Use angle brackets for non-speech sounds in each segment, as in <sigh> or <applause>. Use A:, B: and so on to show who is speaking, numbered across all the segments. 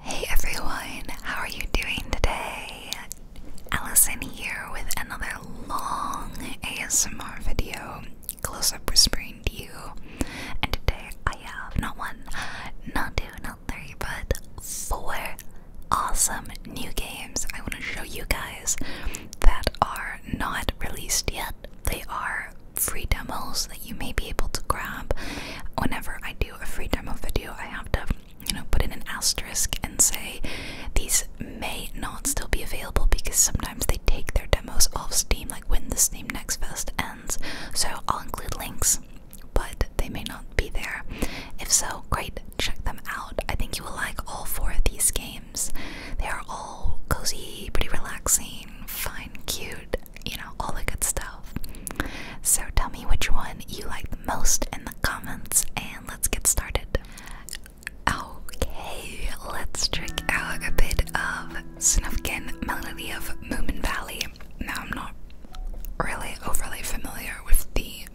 A: Hey everyone, how are you doing today? Allison here with another long ASMR video, close up whispering to you. And today I have not one, not two, not three, but four awesome new games I want to show you guys that are not released yet. They are free demos that you may be able to grab whenever I do do a free demo video, I have to, you know, put in an asterisk and say these may not still be available because sometimes they take their demos off Steam, like when the Steam Next Fest ends. So I'll include links, but they may not be there. If so, great, check them out. I think you will like all four of these games. They are all cozy, pretty relaxing, fine, cute, you know, all the good stuff. So tell me which one you like the most in the comments and let's get started. Okay, let's check out a bit of Snufkin Melody of Moomin Valley. Now I'm not really overly familiar with the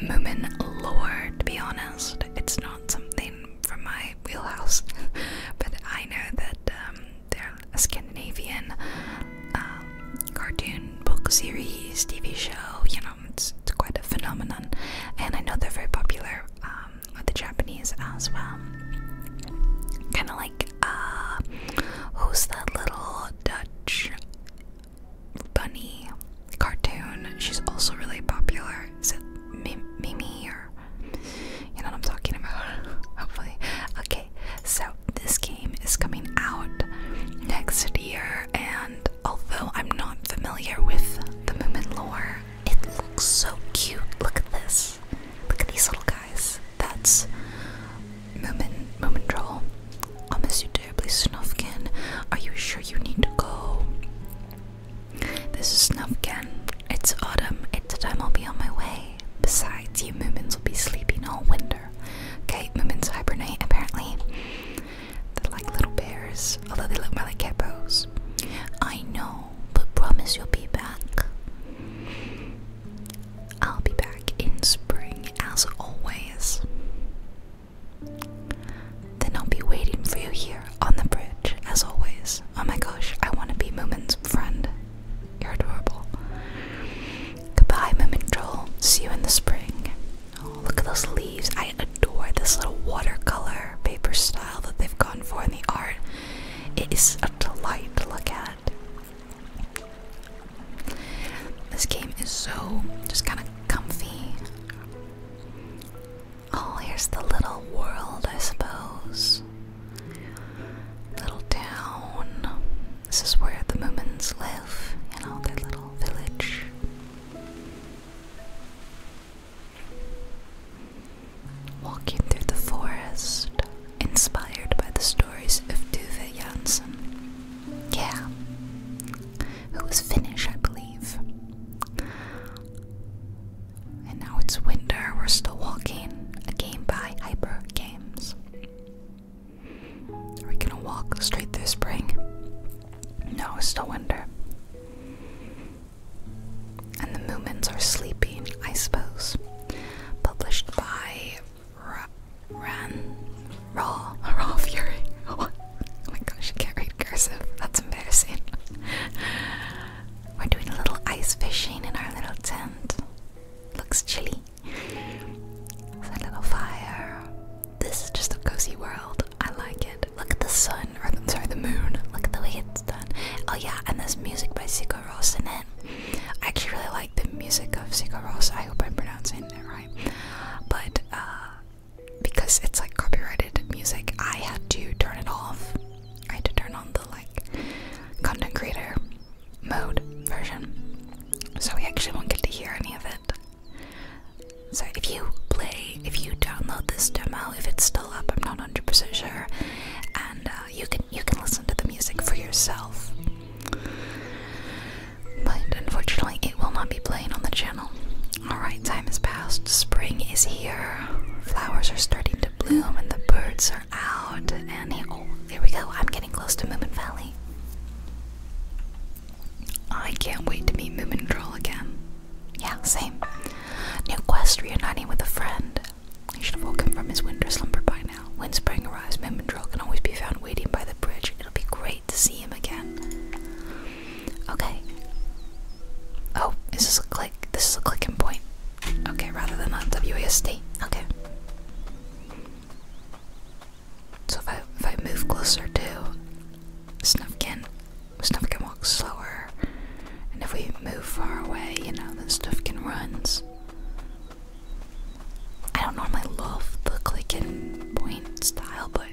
A: Moomin lore, to be honest. It's not something from my wheelhouse, <laughs> but I know that um, they're a Scandinavian um, cartoon book series, TV show. You know, it's, it's quite a phenomenon, and I know they're very popular um, with the Japanese as well. Kind of like uh, who's that little Dutch bunny cartoon? She's also really popular. Is it Mimi or you know what I'm talking about? <laughs> Hopefully, okay so this game is coming out next year, and although I'm not familiar with the Moomin lore, it looks so cute. Look at this. Look at these little guys. That's Moomin, Moomin Troll. I'll miss you terribly, Snufkin. Are you sure you need to go? This is Snufkin. It's autumn. It's time I'll be on my way. Besides, you Moomins will be sleeping all winter. Okay, Moomins hibernate apparently. They're like little bears, although they look more like geckos. I know, but promise you'll be back. I'll be back in spring as always. Then I'll be waiting for you here on the bridge as always. Oh my gosh, I want to be Moomin's friend. You're adorable. Goodbye, Mimic Troll. See you in the spring. Oh, look at those leaves. I adore this little watercolor paper style that they've gone for in the art. It is a delight to look at. This game is so just kind of comfy. Oh, here's the little world, I suppose. Little town. This is where the Moomins live, in know, their little village. Walking through the forest, inspired by the stories of Duve Janssen. Yeah, who was Finnish, I believe. And now it's winter, we're still walking. A game by Hyper Games. Are we gonna walk straight through spring? No, it's still winter. And the Moomins are sleeping, I suppose. Published by Ra Ran Raw Raw Fury. <laughs> oh my gosh, I can't read cursive. That's embarrassing. <laughs> We're doing a little ice fishing in our little tent. Looks chilly a little fire. This is just a cozy world. I like it. Look at the sun, or sorry, the moon. Look at the way it's done. Oh yeah, and there's music by Sigur Rós it. I actually really like the music of Sigur Rós. I hope I'm pronouncing it right. But uh, because it's like copyrighted music, I had to turn it off. I had to turn on the like content creator mode version. So we actually won't get to hear any of it. So if you play, if you download this demo, if it's still up, I'm not 100% sure, and uh, you can you can listen to the music for yourself. But unfortunately, it will not be playing on the channel. Alright, time has passed. Spring is here. Flowers are starting to bloom and the birds are out, and he, oh, we go. I'm getting close to Moomin Valley. I can't wait to meet Moomin Troll again. Yeah, same. New quest reuniting with a friend. He should have woken from his winter slumber by now. When spring arrives, Moomin Troll can always be found waiting by the bridge. It'll be great to see him again. Okay. Oh, is a click? This is a clicking point. Okay, rather than a WASD. Okay. So if I, if I move closer to Snufkin, Snufkin walks slower. And if we move far away, you know, then Snufkin runs. I don't normally love the clicking point style, but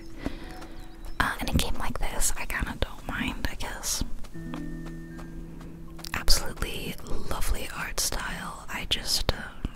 A: uh, in a game like this, I kind of don't mind, I guess. Absolutely lovely art style. I just um,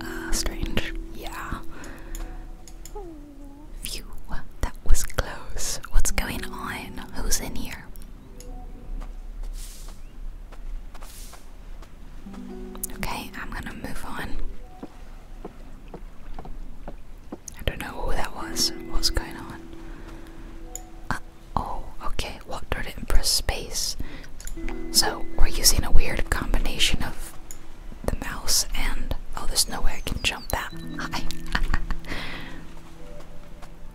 A: Uh, strange. Yeah. Phew, that was close. What's going on? Who's in here? Okay, I'm gonna move on. I don't know who that was. What's going on? Uh, oh, okay. Water it press space. So we're using a weird combination of the mouse and oh, there's no way I can jump that high.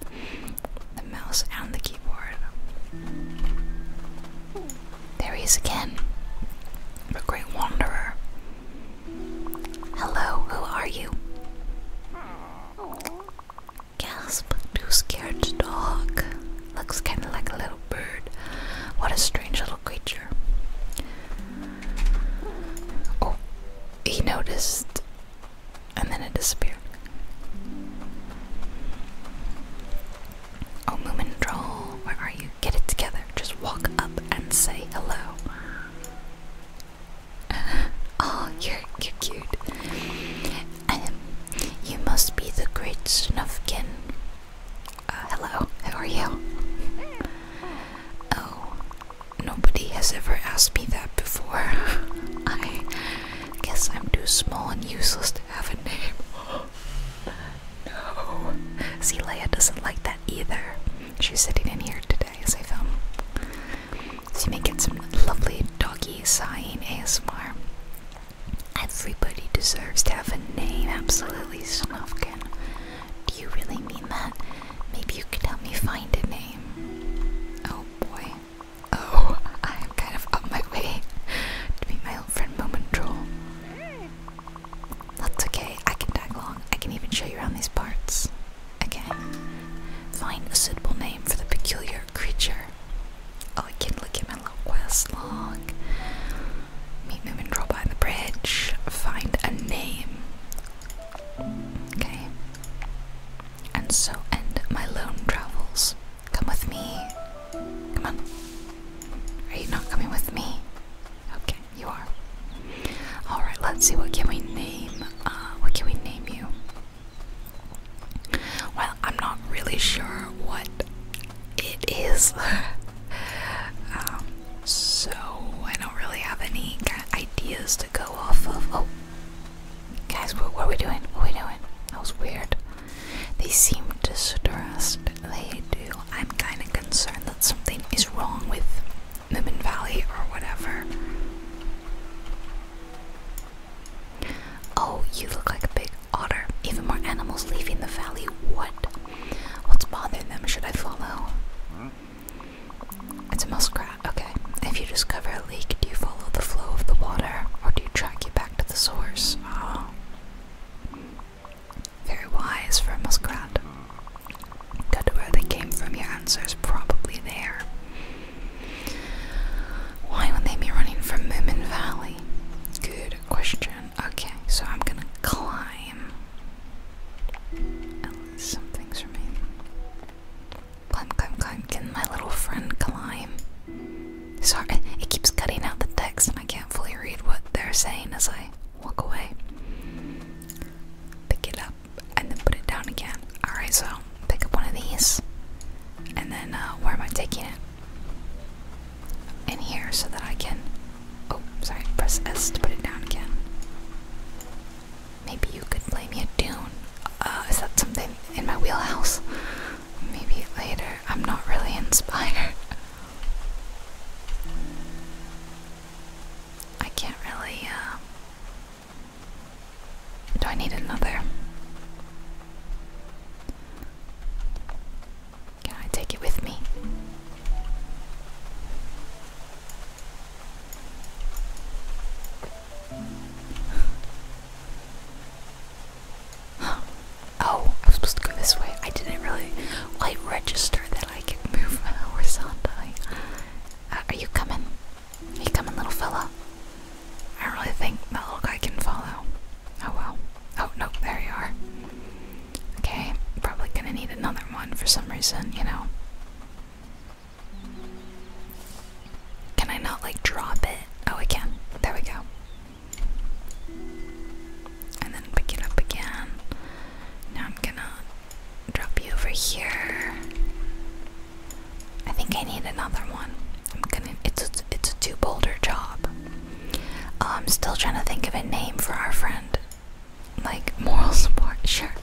A: <laughs> the mouse and the keyboard. There he is again. A great wanderer. Hello, who are you? Gasp, too scared to talk. Looks kind of like a little bird. What a strange little creature. Oh, he noticed and then it disappeared. Oh, Moomin where are you? Get it together. Just walk up and say hello. <laughs> oh, you're, you're cute. Um, you must be the great Snufkin. Uh, hello, how are you? Oh, nobody has ever asked me that before. <laughs> I guess I'm too small and useless to have a name. <gasps> no. See, doesn't like that either. She's sitting in here today as I film. So you may get some lovely doggy sighing ASMR. Everybody deserves to have a name, absolutely, Snufkin. Do you really mean that? Maybe you could help me find a name. Oh boy. Oh, <laughs> I'm kind of on my way <laughs> to meet my old friend Moment Troll. That's okay, I can tag along. I can even show you around these parts. Okay. Find a suitable name for the peculiar creature. Oh, I can look at my little quest log. Meet me Moomin draw by the bridge. Find a name. Okay. And so end my lone travels. Come with me. Come on. Are you not coming with me? Okay, you are. Alright, let's see what can we name uh what can we name you? Well, I'm not really sure what it is. <laughs> Um, so I don't really have any ideas to go off of. Oh, guys, what, are we doing? What are we doing? That was weird. They seem distressed. They do. I'm kind of concerned that something is wrong with Moomin Valley or whatever. Oh, you look like a big otter, even more animals leaving the valley. What? What's bothering them? Should I follow? It's a muskrat. Okay. If you discover a leak, do you follow the flow of the water or do you track you back to the source? Oh. Very wise for a muskrat. Good to where they came from, your answer is probably there. Why would they be running from Moomin Valley? Good question dungeon. Okay, so I'm gonna climb. Unless oh, some things remain. Climb, climb, climb. Can my little friend climb? Sorry, it keeps cutting out the text and I can't fully read what they're saying as I walk away. Pick it up and then put it down again. Alright, so pick up one of these. And then, uh, where am I taking it? in here so that I can. Oh, sorry, press S to put it down again. Maybe you could play me a tune. Uh, is that something in my wheelhouse? Maybe later. I'm not really <laughs> inspired. I can't really, uh, Do I need another? Can I take it with me? <gasps> oh, I was supposed to go this way. I didn't really like register that I could move <laughs> horizontally. Uh, are you coming? you coming, little fella? I don't really think that little guy can follow. Oh well. Oh, no, there you are. Okay, probably gonna need another one for some reason, you know. Can I not, like, drop it? Oh, I can. There we go. And then pick it up again. Now I'm gonna drop you over here. I think I need another one. I'm gonna. It's a, it's a two boulder job. I'm still trying to think of a name for our friend. Like moral support, <laughs> sure.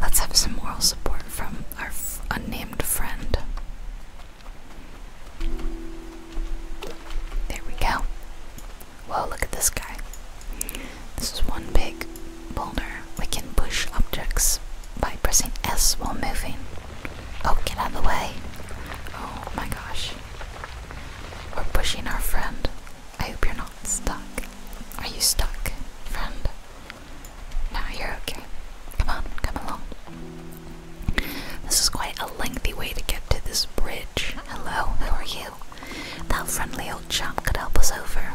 A: Let's have some moral support from our unnamed friend. There we go. Whoa, look at this guy. This is one big boulder. We can push objects by pressing S while moving. Oh, get out of the way. Oh my gosh. We're pushing our friend. I hope you're not stuck. Are you stuck, friend? Now you're okay. Come on, come along. This is quite a lengthy way to get to this bridge. Hello, how are you? That friendly old chap could help us over.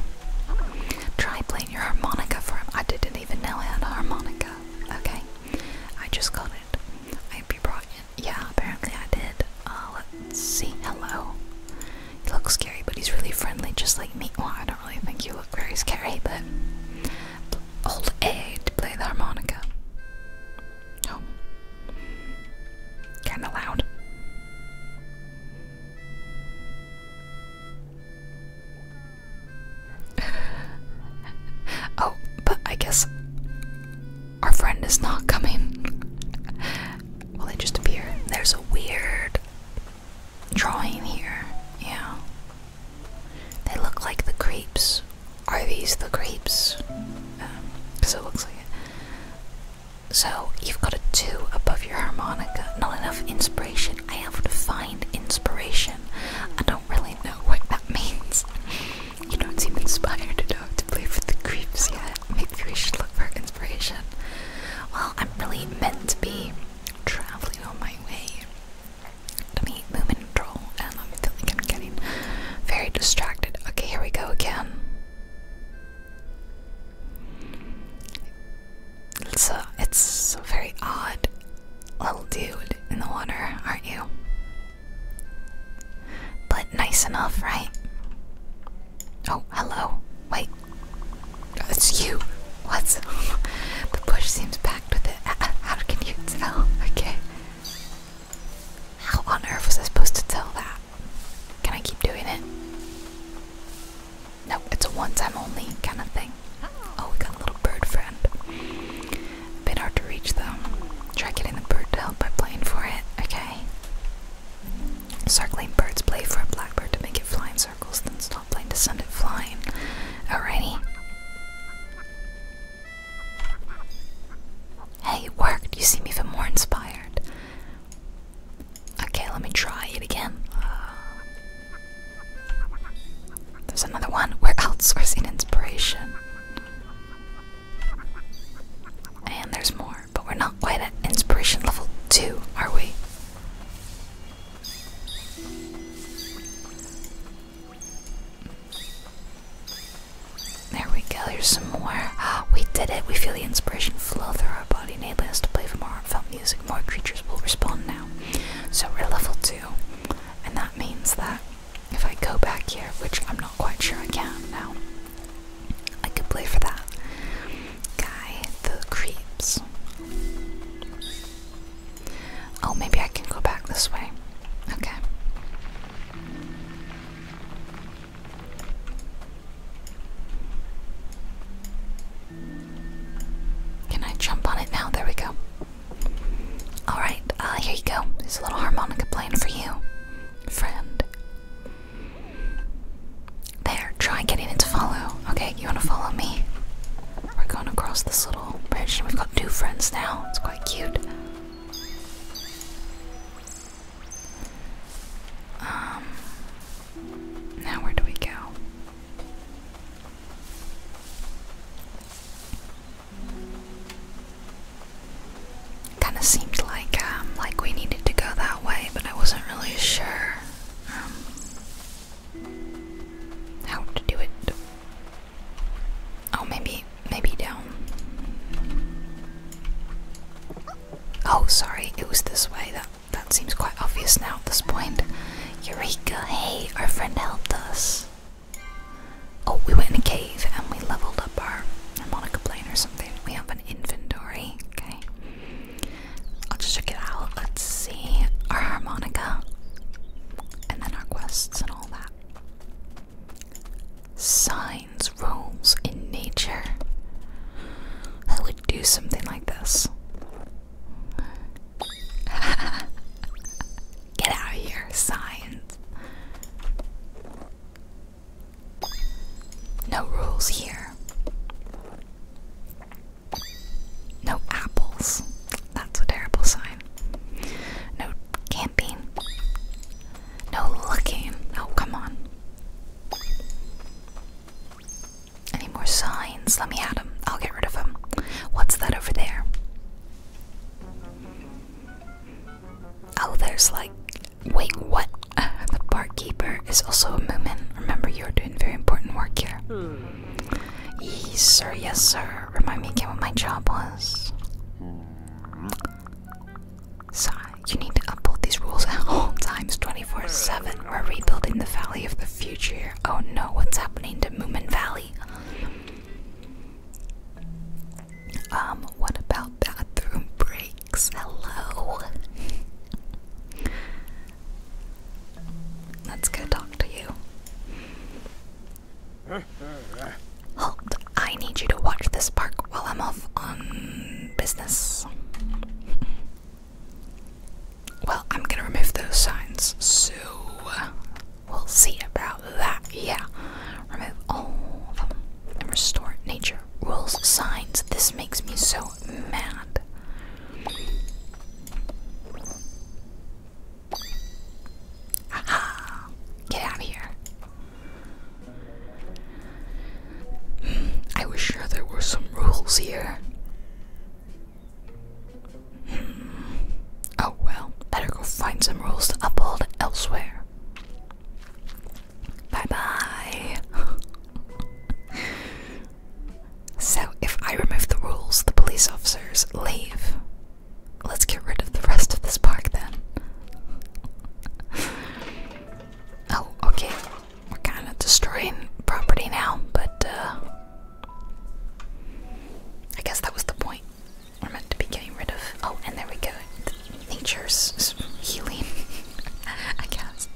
A: Try playing your harmonica for him. I didn't even know I had a harmonica. Okay, I just got it. I hope you brought yeah, apparently I did. Uh, let's see. Hello. He looks scary, but he's really friendly, just like me. I don't really think you look very scary, but old A to play the harmonica. Oh, kind of loud. <laughs> oh, but I guess our friend is not coming. well, they just appear. There's a weird drawing here. Yeah. They look like the creeps. Are these the creeps? Because um, it looks like it. So you've got a two above your harmonica. Not enough inspiration. I have to find inspiration. I don't really know what that <laughs> means. You don't seem inspired enough to play for the creeps yet. Maybe we should look for inspiration. Well, I'm really meant to be traveling on my way to meet Moomin and Troll, and I feel like I'm getting very distracted. Okay, here we go again. It's a, it's a very odd little dude in the water, aren't you? But nice enough, right? Oh, hello. Wait. It's you. What's. <laughs> the bush seems packed with it. How can you tell? <laughs> Okay. How on earth was I supposed to tell that? Can I keep doing it? No, it's a one time only kind of thing. Oh, we got a little bird friend. A bit hard to reach though. Try getting the bird to help by playing for it, okay? Circling birds play for a blackbird to make it fly in circles, then stop playing to send it flying. Alrighty. Hey, it worked. You seem even more inspired. Okay, let me try it again. Uh, there's another one. We're <laughs> outsourcing inspiration. And there's more, but we're not quite at inspiration level 2, are we? There we go, here's some more. <gasps> We did it, we feel the inspiration flow through our body, enabling us to play for more heartfelt music. More creatures will respond now. So we're level 2, and that means that if I go back here, which I'm not quite sure I can now, I could play for that guy, the creeps. Oh, maybe I can go back this way. Okay. Can I jump on it now? There we go. Alright, Ah, uh, here you go. There's a little harmonica playing for you friend. There, try getting it to follow. Okay, you wanna follow me? We're going across this little bridge, and we've got two friends now. It's quite cute. Um, now where do we go? Kind of seemed like um, like we needed to go that way, but I wasn't really sure um, how to do it. Oh, maybe maybe down. Oh, sorry, it was this way. That that seems quite obvious now at this point. Eureka! Hey, our friend helped us. Oh, we went in a cave and we leveled up our harmonica plane or something. We have an inventory. Okay. I'll just check it out. Let's see. Our harmonica. And then our quests and all that. Signs, rules in nature. I would do something like this. <laughs> Get out of here, signs. No rules here. No apples. That's a terrible sign. No camping. No looking. Oh, come on. Any more signs? Let me add them. I'll get rid of them. What's that over there? Oh, there's like. Wait, what? <laughs> the barkeeper is also a moomin. Remember, you're doing very important work here. Yes, sir. Yes, sir. Remind me again what my job was. Sigh, so, you need to upload these rules at all times 24 7. We're rebuilding the Valley of the Future. Oh no, what's happening to Moomin Valley? Um, what about bathroom breaks? Hello. Let's go talk to you. Halt, I need you to watch this park while I'm off on business. Well, I'm gonna remove those signs, so we'll see about that, yeah. Remove all of them and restore nature. Rules, signs, this makes me so mad. Get out of here. Hmm. I was sure there were some rules here. Hmm. Oh well, better go find some rules to uphold elsewhere. Bye bye. <laughs> so, if I remove the rules, the police officers leave. Let's get rid of the rest of this park then. <laughs> oh, okay. We're kind of destroying property now, but uh, I guess that was the point. We're meant to be getting rid of. Oh, and there we go. Nature's healing, <laughs> I guess.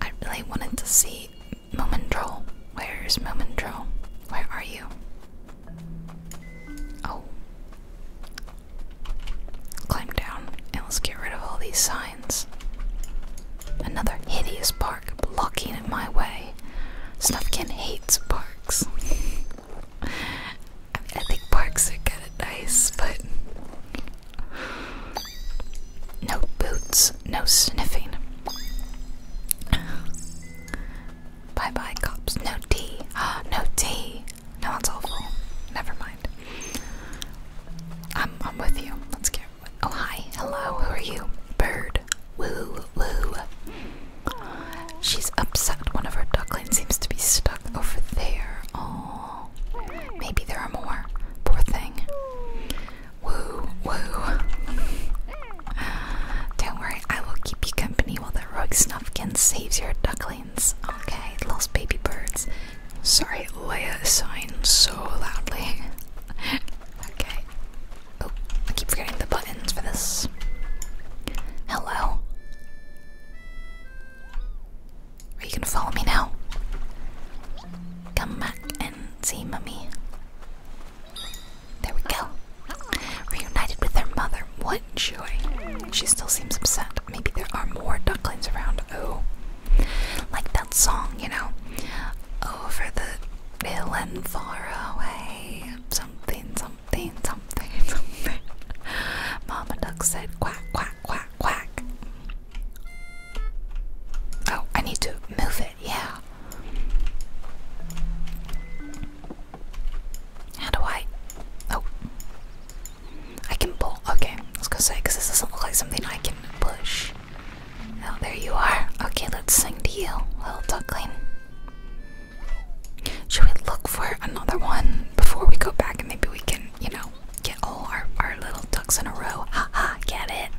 A: I really wanted to see Momendrol. Where's Momendrol? Where are you? Oh. Climb down and let's get rid of all these signs. Another hideous park blocking my way. Snufkin hates parks. <laughs> I think parks are kind of nice, but no boots, no sniffing. Bye bye, cops. No tea. Oh, no tea. No, that's awful. Never mind. I'm, I'm with you. Let's get. Oh, hi. Hello. Who are you? Bird. Woo, woo. She's upset. One of her ducklings seems to be stuck over there. Oh, maybe there are more. Poor thing. Woo, woo. Don't worry, I will keep you company while the rogue snuffkin saves your ducklings. Okay, lost baby birds. Sorry, Leia signed so loudly. <laughs> okay. Oh, I keep forgetting the buttons for this. Hello. Are you gonna follow me now? Come back and see mummy. There we go. Reunited with their mother. What joy. She still seems upset. Maybe there are more ducklings around. Oh. Like that song, you know. Over the hill and far away. Something, something something, something, <laughs> Mama duck said quack, quack, quack, quack. Oh, I need to move it, yeah. How do I? Oh. I can pull. Okay, let's go to say, because this doesn't look like something I can push. Oh, there you are. Okay, let's sing to you, little duckling. Should we look for another one before we go back and maybe we can, you know, get all our, our little ducks in a row? Ha ha, get it?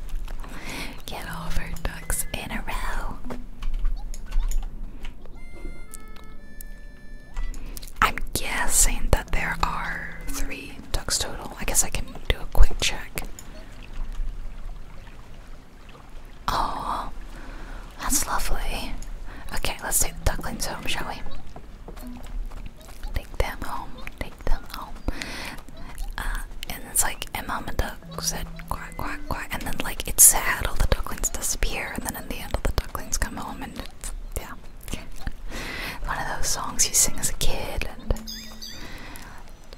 A: Get all our ducks in a row. I'm guessing that there are three ducks total. I guess I can do a quick check. Oh, that's lovely. Okay, let's take the ducklings home, shall we? Take them home, take them home. Uh, and it's like, and Mama Duck said quack, quack, quack. And then, like, it's sad, all the ducklings disappear. And then in the end, all the ducklings come home. And yeah. One of those songs you sing as a kid. And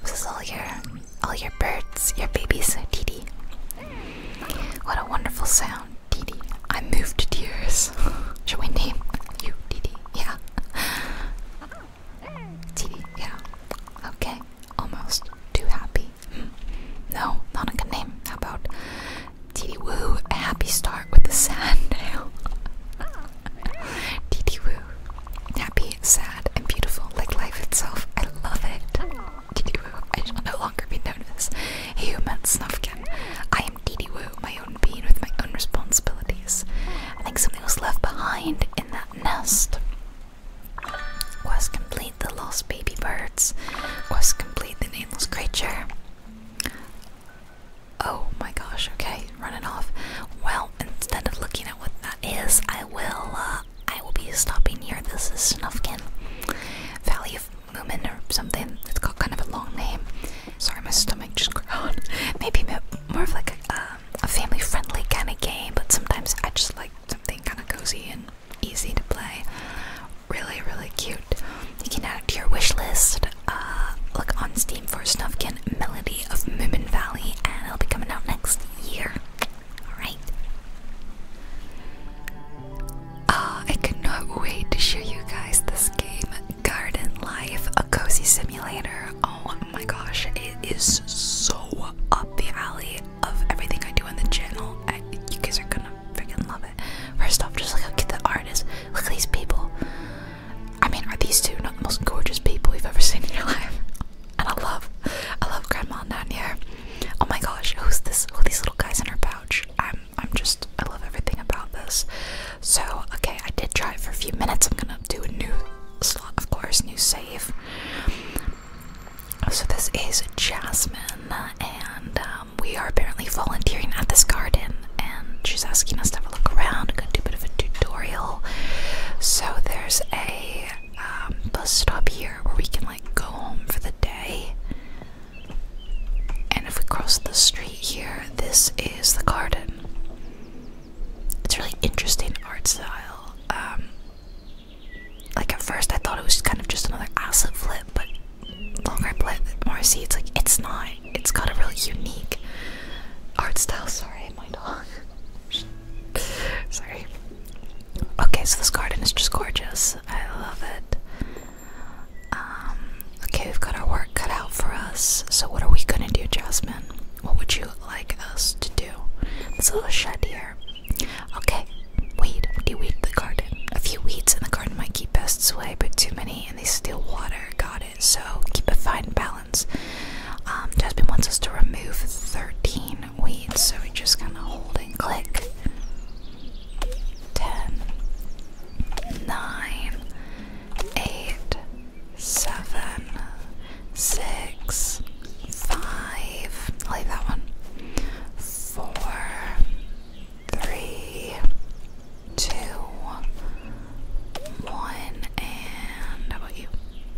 A: this is all your, all your birds, your babies, Dee Dee. What a wonderful sound down, Didi. I moved to tears. <laughs> Should we name you Didi? Yeah. Didi, yeah. Okay, almost too happy. Hmm. No, not a good name. How about Didi Woo? A happy start with a sad nail. <laughs> Woo. Happy, sad, and beautiful like life itself. I love it. Didi Woo, I shall no longer be known as Human Snufkin. I am Didi Woo, my own being with my own responsibilities. I think something was left behind in that nest. Quest complete the lost baby birds. Quest complete the nameless creature. Oh my gosh, okay, running off. Well, instead of looking at what that is, I will uh, I will be stopping here. This is Snuffkin Valley Moomin or something. It's got kind of a long name. Sorry, my stomach just <laughs> growled. Maybe more of like a, uh, family-friendly kind of game, but sometimes I just like something kind of cozy and easy to play. Really, really cute. You can add it to your wish list. Uh, look on Steam for Snufkin Melody of Moomin Valley, and it'll be coming out next year. Alright. Uh, I cannot wait to show you guys this game, Garden Life, a cozy simulator. Oh my gosh, it is so up the alley of everything I do on the channel. I, you guys are gonna freaking love it. First off, just look at the artists. Look at these people. I mean, are these two not the most gorgeous people we have ever seen in your life? And I love, I love Grandma down here. Oh my gosh, who's this? Who these little guys in her pouch? I'm I'm just I love everything about this. So okay, I did try it for a few minutes. I'm gonna do a new slot, of course, new save. So this is Jasmine, and um, we are apparently volunteering at this garden, and she's asking us to have a look around. I'm gonna do a bit of a tutorial. So there's a um, bus stop here where we can like go home for the day. And if we cross the street here, this is the garden. It's really interesting art style. Um, like at first, I thought it was kind of just another acid flip, but longer I play it, more I see it's like it's not. It's got a really unique art style. Sorry, my dog. <laughs> Sorry. Okay, so this garden is just gorgeous. I love it. Um, okay, we've got our work cut out for us. So, what are we gonna do, Jasmine? What would you like us to do? It's a little shed here. Okay, weed. Do weed the garden? A few weeds in the garden might keep pests away, but too many and they steal water. Got it. So, keep a fine balance. Um, Jasmine wants us to remove 13 weeds, so we just kind of hold and click ten, nine, eight, seven, six, five. I like that one. Four, three, two, one, and how about you?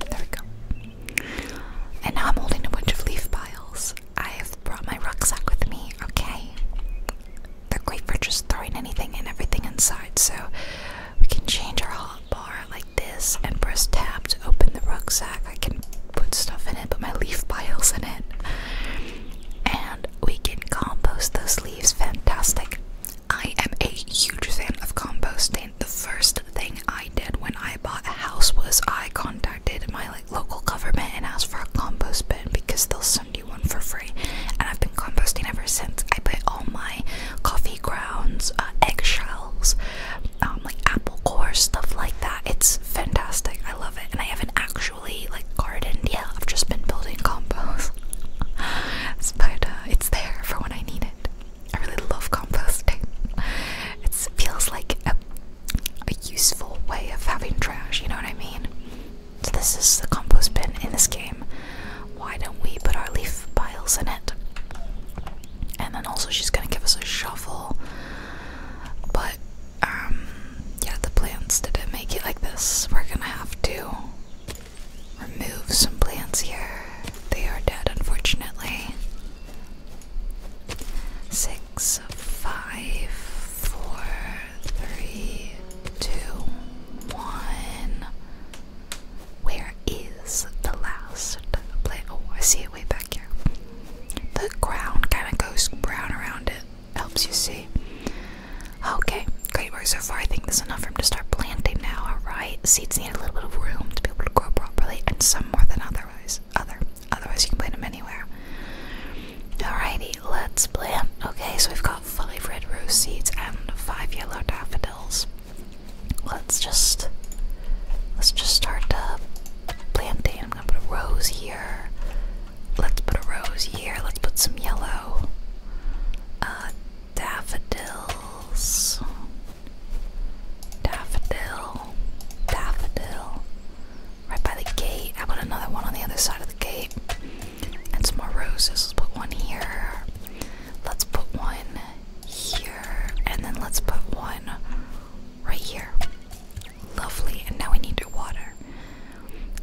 A: There we go. And now I'm holding a bunch of leaf piles. I have brought my rucksack with me, okay? They're great for just throwing anything and everything inside, so we can change our hot bar like this and press tab to open the rucksack. I can put stuff in it, put my leaf piles in it. And we can compost those leaves. Fantastic. I am a huge fan of composting. The first thing I did when I bought a house was eye contact contacted my like local government and asked for a compost bin because they'll send you one for free. And I've been composting ever since. I put all my coffee grounds, uh, eggshells, um, like apple cores, stuff like that. It's fantastic. I love it. And I haven't actually like gardened yet. I've just been building compost. <laughs> but uh, it's there for when I need it. I really love composting. It feels like a useful way of having trash, you know what I mean? So this is the compost bin in this game. Why don't we put our leaf piles in it? And then also she's gonna give us a shovel. But um yeah, the plants didn't make it like this. We're gonna have to remove some plants here. They are dead unfortunately. Six, five, four, three, two, one. Where is the last play? Oh, I see it way back here. The ground kind of goes brown around it. Helps you see. Okay, great work so far. I think there's enough for room to start planting now. All right, seeds need a little bit of room to be able to grow properly, and some more than otherwise. Other. Otherwise, you can plant them anywhere. Alrighty, let's plant. Okay, so we've got five red rose seeds and five yellow daffodils. Let's just let's just start planting. I'm gonna put a rose here. Let's put a rose here. Let's put some yellow uh, daffodils. Daffodil, daffodil, Right by the gate. I want another one on the other side of the gate. And some more roses. Let's put one here. Let's put one here. And then let's put one right here. Lovely. And now we need to water.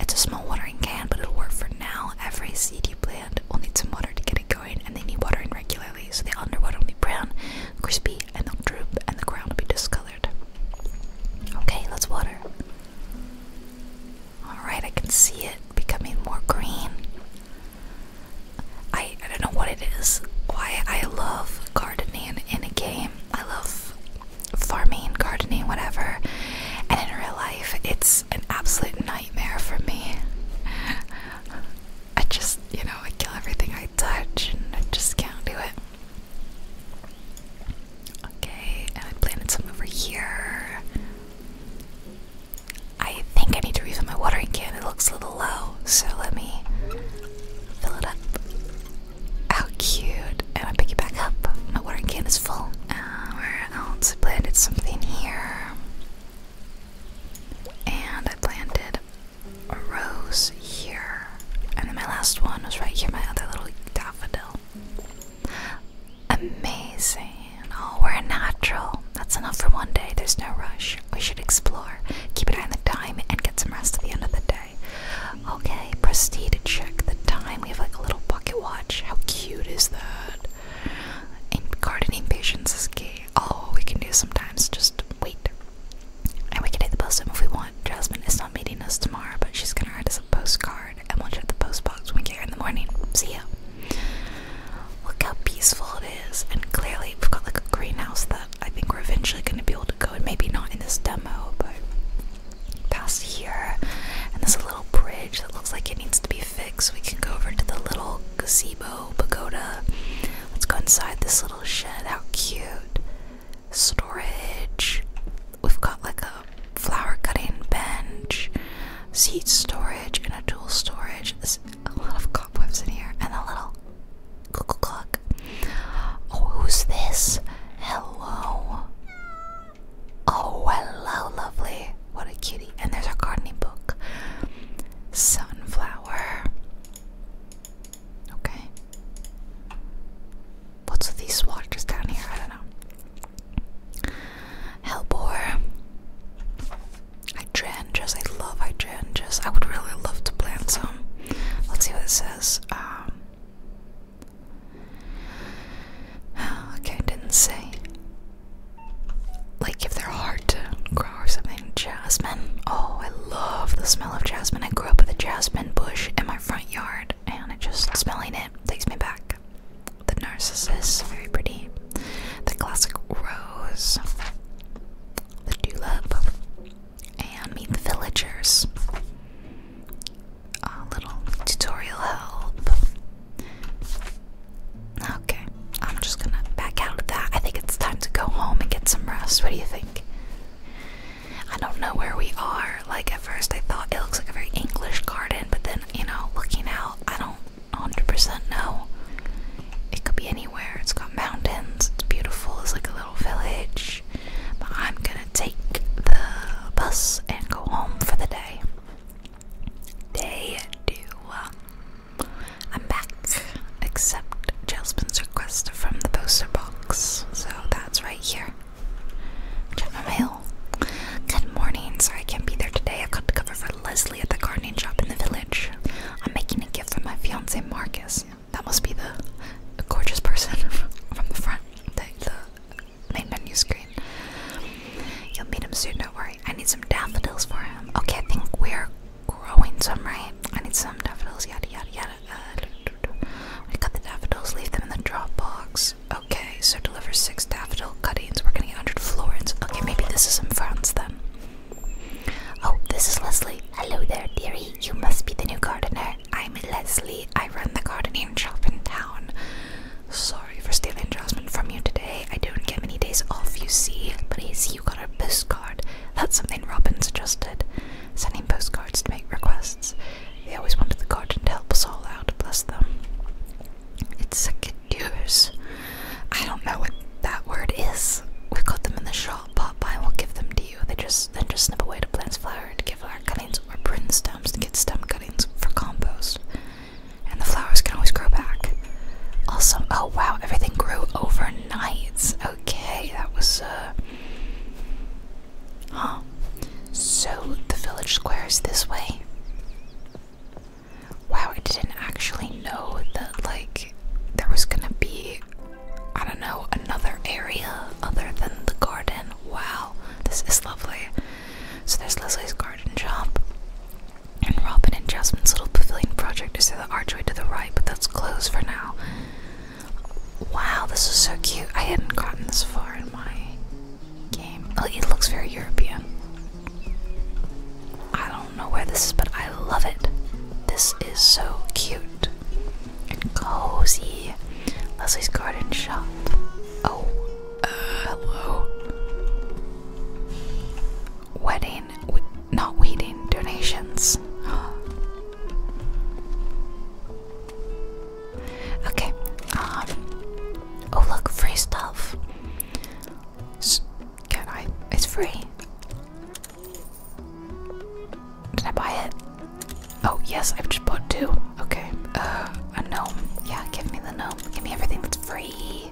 A: It's a small watering can, but it'll work for now. Every seed you plant will need some water to get it going, and they need watering regularly so the underwater will be brown, crispy, and they'll droop, and the ground will be discolored. Okay, let's water. Alright, I can see it becoming more green. I, I don't know what it is. Why I love gardening in a game. I love farming, gardening, whatever. And in real life, it's an absolute nightmare for me. <laughs> I just, you know, I kill everything I touch and I just can't do it. Okay, and I planted some over here. I think I need to refill my watering can. It looks a little low, so let me fill it up. How cute! And I pick it back up. My watering can is full. Uh, where else? planted something here, and I planted a rose here. And then my last one was right here, my other little daffodil. Amazing. Oh, we're natural. That's enough for one day. There's no rush. We should explore, keep an eye on the time, and get some rest at the end of the day. Okay, proceed to check the time. We have like a little bucket watch. How cute is that? And gardening patience is key. Oh, we can do sometimes just wait. And we can hit the post if we want. Jasmine is not meeting us tomorrow, but she's gonna write us a postcard and we'll check the postbox when we get here in the morning. See ya. Look how peaceful it is, and clearly we've got like a greenhouse that I think we're eventually gonna be able to go in, maybe not in this demo, but past here. And there's a little bridge that looks like it needs to be fixed. We can go over to the little gazebo pagoda. Let's go inside this little shed. How cute. Storage we've got like a flower cutting bench, seed storage, and a dual storage. There's a lot of cobwebs in here, and a little cuckoo clock. Oh, who's this? Hello. Oh, hello, lovely. What a cutie. And there's our gardening book. Sunflower. Okay. What's with these waters down here? I don't know. Hellbore. Hydrangeas. I love hydrangeas. I would really love to plant some. Let's see what it says. Um, okay, didn't say. Like if they're hard to grow or something. Jasmine. Oh, I love the smell of jasmine. I grew up with a jasmine bush in my front yard and just smelling it takes me back. The narcissus, very pretty. The classic rose, the tulip, and meet the villagers. A little tutorial help. Okay, I'm just gonna back out of that. I think it's time to go home and get some rest. What do you think? I don't know where we are. Like at first, I thought it looks like a very English garden, but then you know, looking out, I don't 100% know. It could be anywhere. It's got mountains. It's beautiful. It's like a little village. But I'm gonna take the bus and go home for the day. Day two. I'm back. Except Jailspin's request from the poster box. So that's right here. Check Good morning. Sorry I can't be there today. I've got to cover for Leslie at the gardening shop in the village. I'm making a gift for my fiance Marcus. That must be the, gorgeous person <laughs> from the front, the main menu screen. You'll meet him soon, don't worry. I need some daffodils for him. Okay, I think we're growing some, right? I need some daffodils, yada yada yada we cut the daffodils, leave them in the Dropbox. Okay, so deliver six daffodil cuttings. We're getting 100 florins. Okay, maybe this is in France then. Oh, this is Leslie. Hello there, dearie. You must be the new gardener. I'm Leslie. I run the gardening shop in town. Sorry for stealing Jasmine from you today. I don't get many days off, you see. But I see you got a postcard. That's something Robbins just did. Sending postcards to make requests. They always wanted the garden to help us all out, bless them. It's second years. I don't know what that word is. We got them in the shop. Popeye will give them to you. They just then just snip away the plant's flowers to give our cuttings or print stems to get stem cuttings for compost. And the flowers can always grow back. Also, oh wow, everything grew overnight. Okay, that was uh Huh. So the village square is this way. Wow, I didn't actually know that like there was gonna be I don't know, another area other than the garden. Wow, this is lovely. So there's Leslie's garden shop. And Robin and Jasmine's little pavilion project is through the archway to the right, but that's closed for now. Wow, this is so cute. I hadn't gotten this far in my game. Oh, it looks very European. I don't know where this is, but I love it. This is so cute and cozy. Leslie's garden shop. Oh, uh, hello. Wedding, with not wedding, donations. <gasps> Okay. Um. Oh look, free stuff. can I? It's free. Did I buy it? Oh yes, I've just bought two. Okay. Uh, a gnome. Yeah, give me the gnome. Give me everything that's free.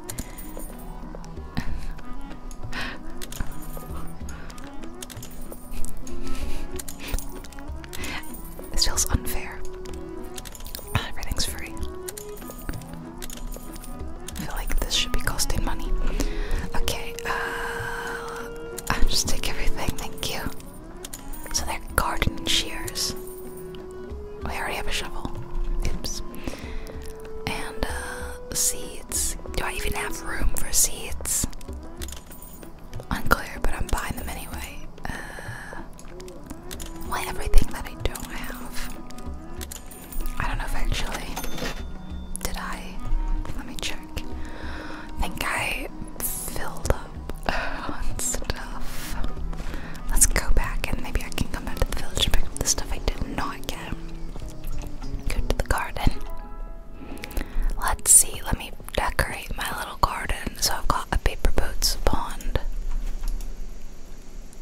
A: This feels unfair. Everything's free. I feel like this should be costing money. Okay, uh, I'll just take everything, thank you. So they're garden shears. I already have a shovel. Oops. And uh, seeds. Do I even have room for seeds? Unclear, but I'm buying them anyway. Uh, why everything that I don't have? I don't know if Did I? Let me check. think I filled up <laughs> on stuff. Let's go back and maybe I can come back to the village and pick up the stuff I did not get. Go to the garden. Let's see, let me decorate my little garden, so I've got a paper boats pond.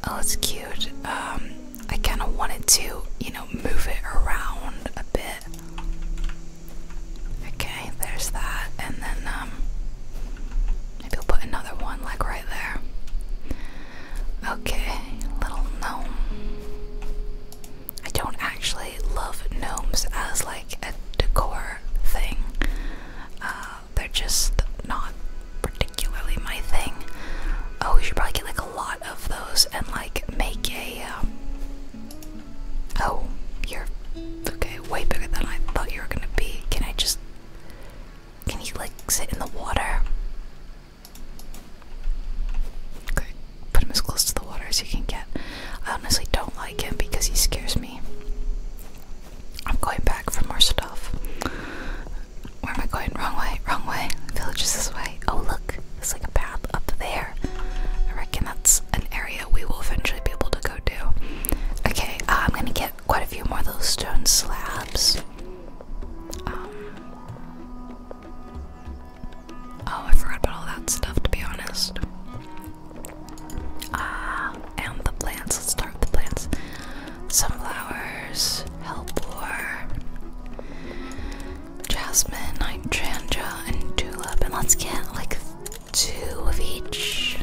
A: Oh, it's cute. Um, I kind of wanted to, you know, move it around a bit. Okay, there's that, and then um, maybe put another one like right there. Okay, little gnome. I don't actually love gnomes as like a decor thing. Uh, they're just not particularly my thing. Oh, we should probably get like a lot of those and like make a. Um... Oh, you're okay. Way bigger than I thought you were gonna be. Can I just? Can you like sit in the water? Okay, put him as close to the water as you can get. I honestly don't like him because he scares me. I'm going back for more stuff. Where am I going? Wrong way, wrong way. Village is this way. Oh, look, there's like a path up there. I reckon that's an area we will eventually be able to go to. Okay, uh, I'm gonna get quite a few more of those stone slabs. Um, oh, I forgot about all that stuff to be honest. Ah, and the plants. Let's start with the plants. Sunflowers, hellebore, jasmine, hydrangea, and tulip. And let's get like two of each.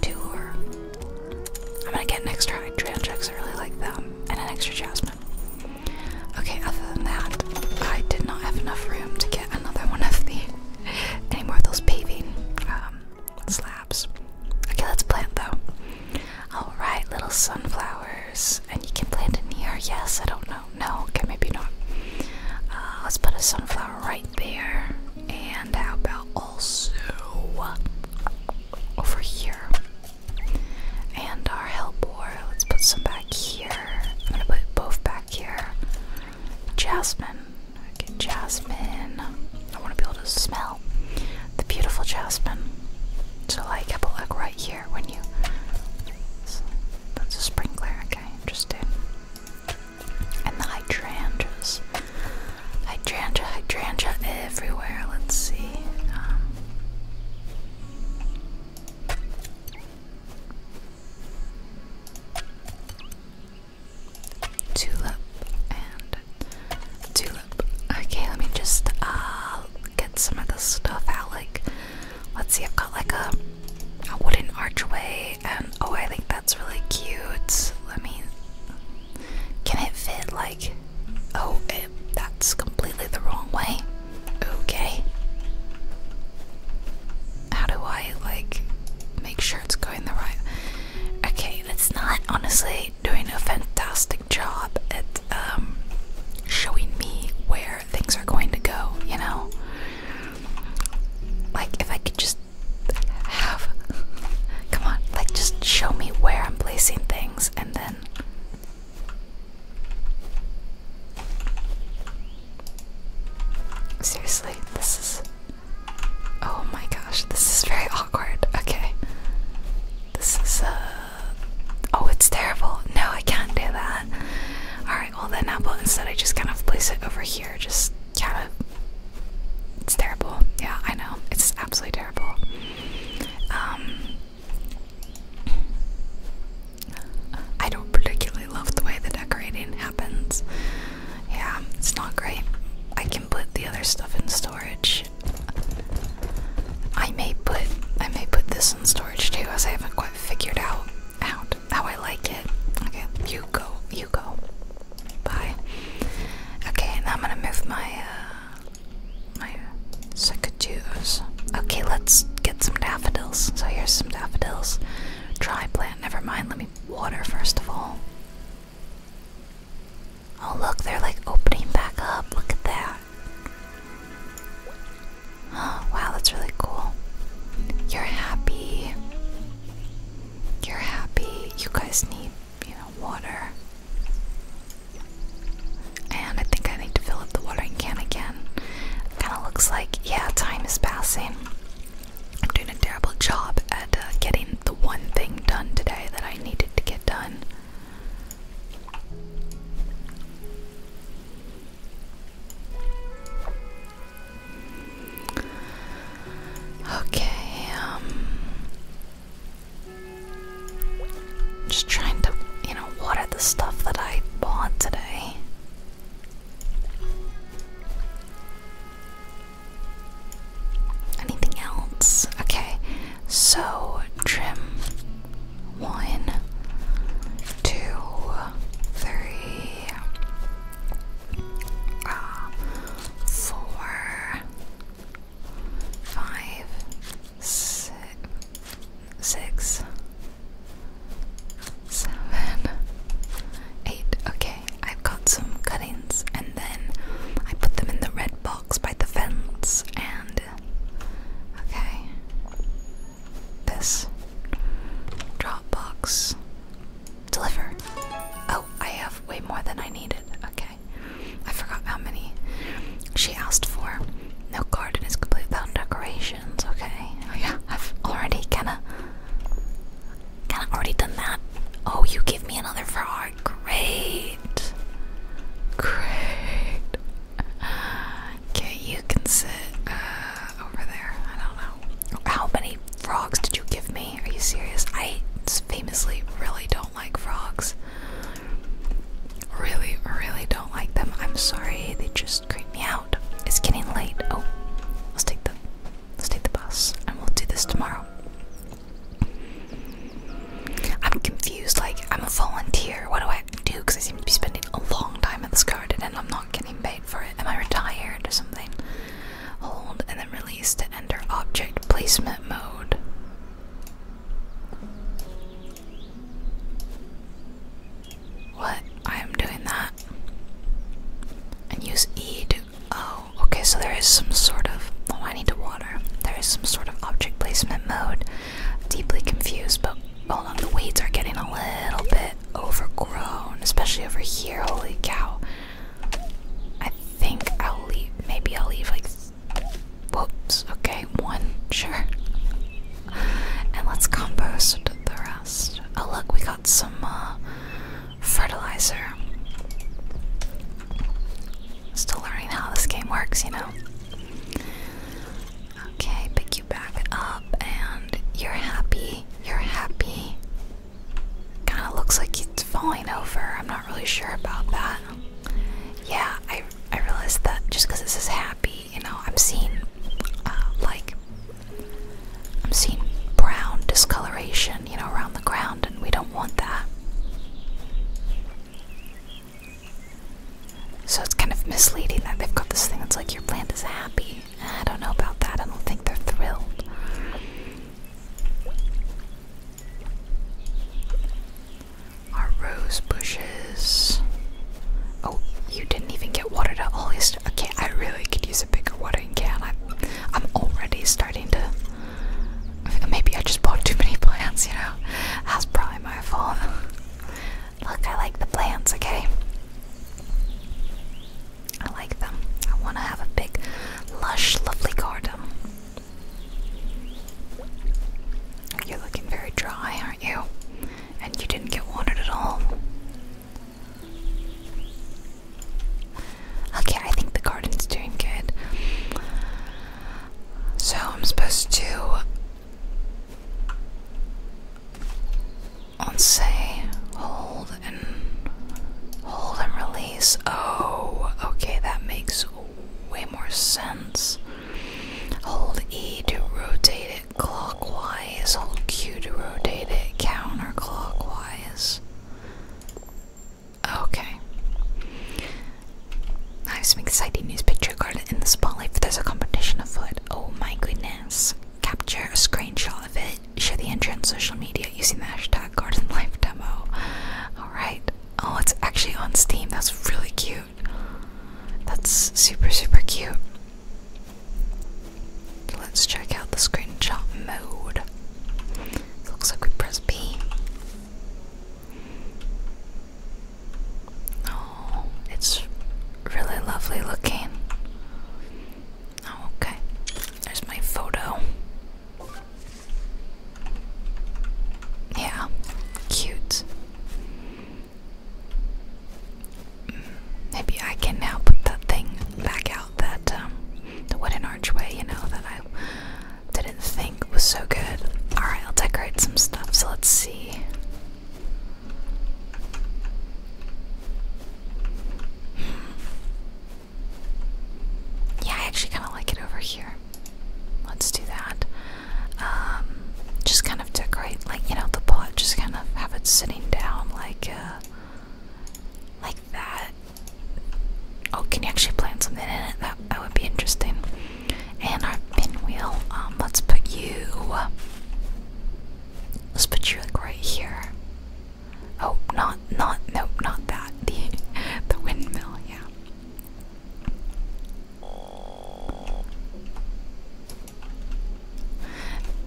A: Two I'm gonna get an extra hydrangea because I really like them, and an extra jasmine. Okay, other than that, I did not have enough room to get another one of the any more of those paving um, slabs. Okay, let's plant though. All right, little sunflowers, and you can plant in here. Yes, I don't know. No, okay, maybe not. Uh, let's put a sunflower right there, and how about also over here? And our help boy. Let's put some back here. I'm gonna put both back here. Jasmine. jasmine. I want to be able to smell the beautiful jasmine. So, like, have a look right here when you. That's a sprinkler. Okay, interesting. And the hydrangeas. Hydrangea, hydrangea everywhere. Let's see. Um. Tulip and tulip. Okay, let me just uh get some of this stuff out. Like, let's see, I've got like a a wooden archway, and oh, I think that's really cute. Let me. Can it fit like? Oh, it, that's completely the wrong way. Okay. How do I like make sure it's going the right? Okay, that's not honestly doing a fantastic job at um showing me where things are going to go, you know? Like if I could just have come on, like just show me where I'm placing things and then Seriously, this is. Oh my gosh, this is very awkward. Okay. This is, uh. Oh, it's terrible. No, I can't do that. Alright, well then, now but instead I just kind of place it over here. Just kind of. It's terrible. Yeah, I know. It's absolutely terrible. Um. I don't particularly love the way the decorating happens. Yeah, it's not great. I can put the other stuff in storage. I may put I may put this in storage too, as I haven't quite figured out out how I like it. Okay, you go, you go. Bye. Okay, now I'm gonna move my uh, my secateurs. Okay, let's get some daffodils. So here's some daffodils. Try plant, never mind. Let me water first of all. Oh, look, they're like opening back up. Look at that. Oh, wow, that's really cool. You're happy. You're happy. You guys need, you know, water. And I think I need to fill up the watering can again. Kind of looks like, yeah, time is passing. I'm doing a terrible job at uh, getting the one thing done today that I needed to get done. Okay, um, just trying to, you know, water the stuff that I bought today. Anything else? Okay, so trim one, two, three, uh, four, five, six seven, eight. Okay, I've got some cuttings, and then I put them in the red box by the fence. And okay, this drop deliver. Oh, I have way more than I needed. Okay, I forgot how many she asked for. No garden is complete without decorations. Okay, oh yeah, I've already kinda Kinda already done that. Oh, you give me another frog. Great. Great. Okay, you can sit uh, over there. I don't know. How many frogs did you give me? Are you serious? I famously really don't like frogs. Really, really don't like them. I'm sorry. They just me out. It's getting late. Oh, let's take the let's take the bus, and we'll do this tomorrow. I'm confused. Like I'm a volunteer. What do I do? Because I seem to be spending a long time at this garden, and I'm not getting paid for it. Am I retired or something? Hold and then release to enter object placement mode. What? I am doing that. And use E Oh, okay, so there is some sort of. Oh, I need to water. There is some sort of object placement mode. deeply confused, but hold on, the weeds are getting a little bit overgrown, especially over here. Holy cow. I think I'll leave. Maybe I'll leave like. Whoops, okay, one, sure. And let's compost the Oh look, we got some uh, fertilizer. Still learning how this game works, you know. Okay, pick you back up, and you're happy. You're happy. Kind of looks like it's falling over. I'm not really sure about that. Yeah, I I realized that just because this is happy, you know, I'm seeing uh, like I'm seeing brown discoloration, you know, around the ground, and we don't want that. So it's kind of misleading that they've got this thing that's like your plant is happy. I don't know about that. I don't think they're thrilled. Our rose bushes. Oh, you didn't even get watered at all. It's Okay, I really could use a bigger watering can. I'm, I'm already starting to. Maybe I just bought too many plants, you know? That's probably my fault. Look, I like the plants, okay? I like them. I want to have a big, lush, lovely garden. You're looking very dry, aren't you? And you didn't get watered at all. Okay, I think the garden's doing good. So I'm supposed to. On say, hold and hold and release. Oh, okay, that makes way more sense. Hold E to rotate it clockwise, hold Q to rotate it counterclockwise. Okay. I have some exciting news picture garden in the spotlight there's a competition afoot. Oh my goodness. Capture a screenshot of it. Share the entry on social media using the hashtag garden demo. Alright. Oh, it's actually on Steam. That's really cute. That's super, super cute let's check out the screenshot mode. It looks like we press P. Oh, it's really lovely looking. Oh, okay. There's my photo. Yeah, cute maybe I can now put that thing back out that um, the wooden archway, you know, that I didn't think was so good. Alright, I'll decorate some stuff, so let's see. Yeah, I actually kind of like it over here. Let's do that. Um, just kind of decorate, like, you know, the pot, just kind of have it sitting down, like, uh, like that. Oh, can you actually plant something in it? That that would be interesting. And our pinwheel. Um, let's put you. Let's put you like right here. Oh, not not nope, not that. <laughs> The the windmill. Yeah.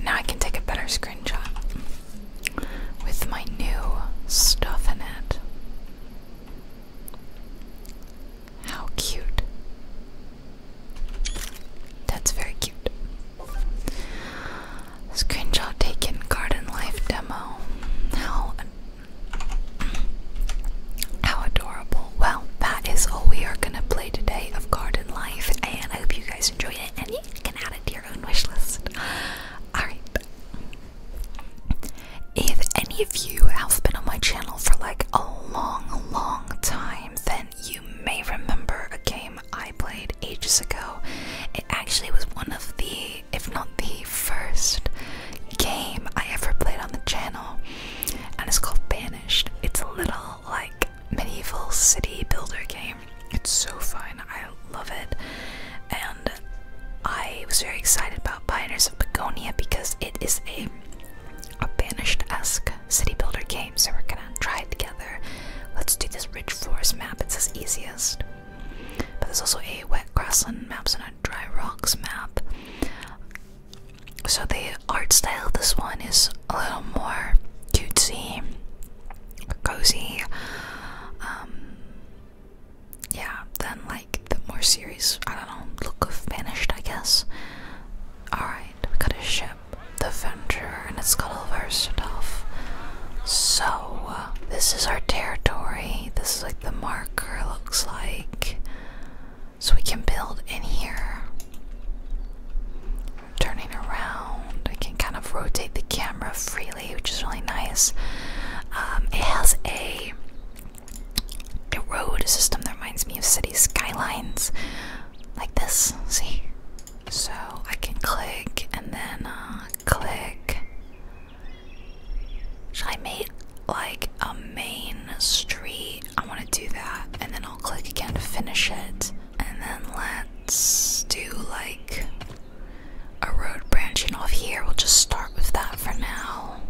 A: Now I can take a better screenshot with my new stuff in it. How cute. That's very cute. Screenshot taken garden life demo. How how adorable. Well, that is all we are gonna play today of garden life and I hope you guys enjoyed it and you can add it to your wish list. Alright. If any of you have been on my channel for like a long, long time, then you may remember a game I played ages ago. It actually was one of the, if not the first, game I ever played on the channel, and it's called Banished. It's a little like medieval city builder game. It's so fun. I love it. And I was very excited about Pioneers of Begonia because it is a a banished-esque city builder game, so we're gonna try it together. Let's do this rich forest map, it's as easiest. But there's also a wet grassland maps and a dry rocks map. So the art style of this one is a little more cutesy, cozy, um, yeah, than like the more serious, I don't know, look of Banished, I guess. Alright, we got a ship, the Venture, and it's got all of stuff. So, this is our territory. This is like the marker, looks like. So we can build in here turning around. I can kind of rotate the camera freely, which is really nice. Um, it has a, road system that reminds me of city skylines, like this. See? So I can click and then uh, click. Should I make like a main street? I want to do that, and then I'll click again to finish it and then let's do like a road branching off here. We'll just start with that for now.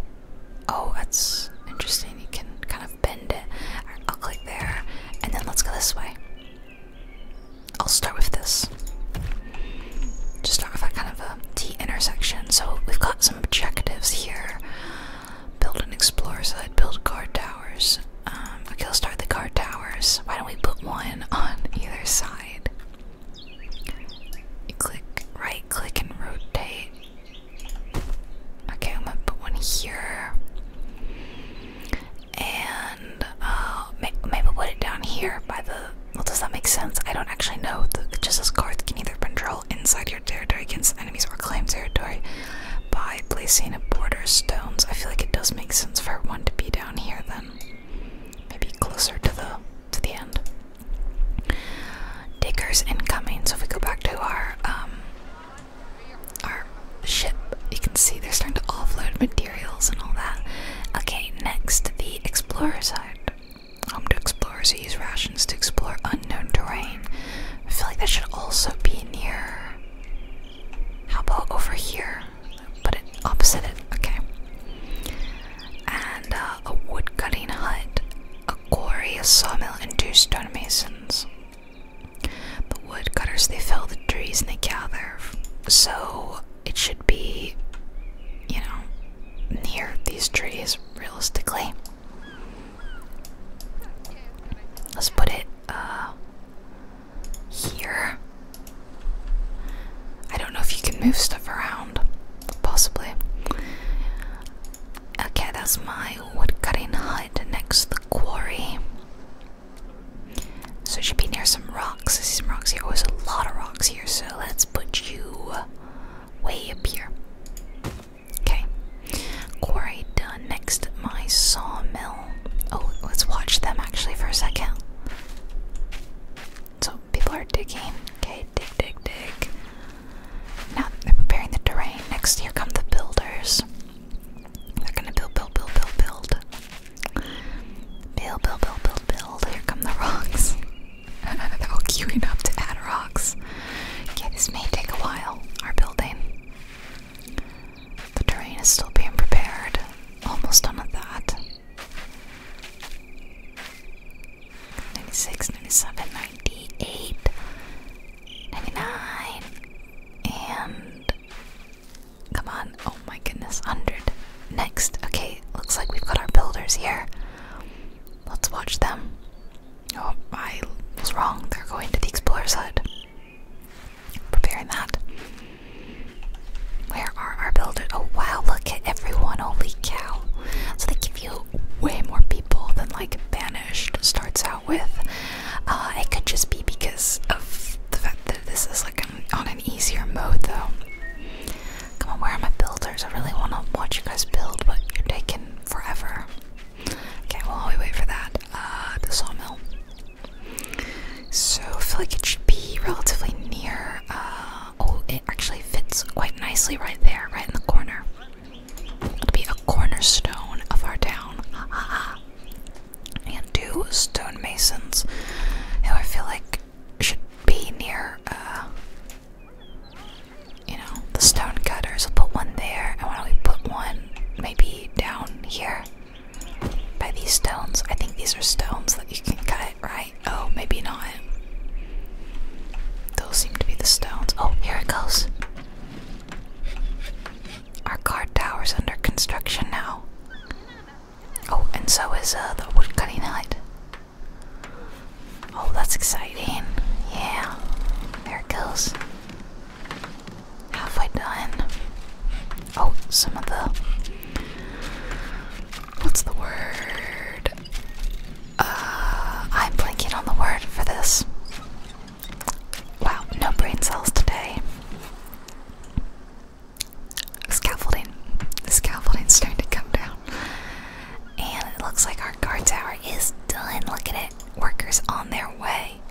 A: Oh, that's interesting. You can kind of bend it. I'll click there, and then let's go this way. I'll start with this. Just start with that kind of a T intersection. So we've got some objectives here build an explorer site, build a guard tower towers. Um, okay, let's start the guard towers. Why don't we put one on either side? click, right click, and rotate. Okay, I'm gonna put one here. And uh, maybe put it down here by the. Well, does that make sense? I don't actually know. The, just as can either control inside your territory against enemies or claim territory by placing a border stones. I feel like it does make sense for one to be there down here then. Maybe closer to the to the end. Diggers incoming. So if we go back to our um, our ship, you can see they're starting to offload materials and all that. Okay, next the explorer side. Home to explorers who use rations to explore unknown terrain. I feel like that should also be near. How about over here? put it opposite it, okay. And uh, a woodcutting hut, a quarry, sawmill, and two stonemasons. The woodcutters they fell the trees and they gather, so it should be, you know, near these trees realistically. Let's put it uh, here. I don't know if you can move stuff around, possibly. Okay, that's my woodcutting hut next to the quarry. So it should be near some rocks. I some rocks here. Oh, there's a lot of rocks here, so let's put you way up here. Okay, quarry done. Next, my sawmill. Oh, let's watch them actually for a second. So people are digging. Okay, dig, dig, dig. Now they're preparing the terrain. Next, here come the builders. They're gonna build, build, build, build, build. Build, build, build, build, build. Here come the rocks. <laughs> they're all queuing up to add rocks. Okay, this may take a while. Our building. The terrain is still being prepared. Almost done with that. 96, 97, 98, 99, and come on, oh my goodness, 100. Next, okay, looks like we've got our builders here. Let's watch them. Oh, I was wrong, they're going to the explorer's hut preparing that. Where are our builders? Oh wow, look at everyone, holy cow. So they give you way more people than like Banished starts out with. Uh, it could just be because of the fact that this is like on an easier mode though. Come on, where are my builders? I really want to watch you guys build, but you're taking forever. Okay, well, we wait for that. Uh, the sawmill. So I feel like it should be relatively near. Uh, oh, it actually fits quite nicely right there, right in the corner. It'll be a cornerstone of our town. and two stonemasons who I feel like should be near, uh, you know, the stone cutters. We'll put one there, and why don't we put one maybe down here? by these stones. I think these are stones that you can cut, right? Oh, maybe not. Those seem to be the stones. Oh, here it goes. Our guard tower's under construction now. Oh, and so is uh, the woodcutting cutting hut. Oh, that's exciting. Yeah, there it goes. Halfway done? Oh, some of the. What's the word? Uh, I'm blanking on the word for this. Wow, no brain cells today. Scaffolding. The scaffolding's starting to come down. And it looks like our guard tower is done. Look at it. Workers on their way.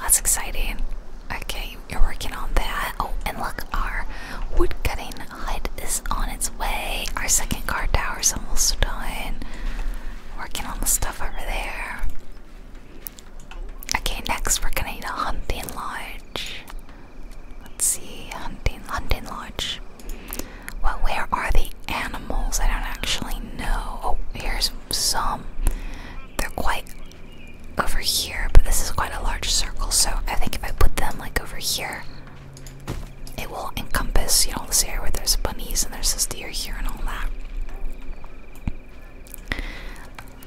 A: That's exciting. Okay, you're working on that. Oh, and look, our woodcutting hut is on its way. Our second guard tower is almost done. Working on the stuff over there. Okay, next we're gonna need a hunting lodge. Let's see, hunting, hunting lodge. Well, where are the animals? I don't actually know. Oh, here's some. They're quite over here, but this is quite a large circle, so I think if I put them like over here, it will encompass, you know, this area where there's bunnies and there's this deer here and all that.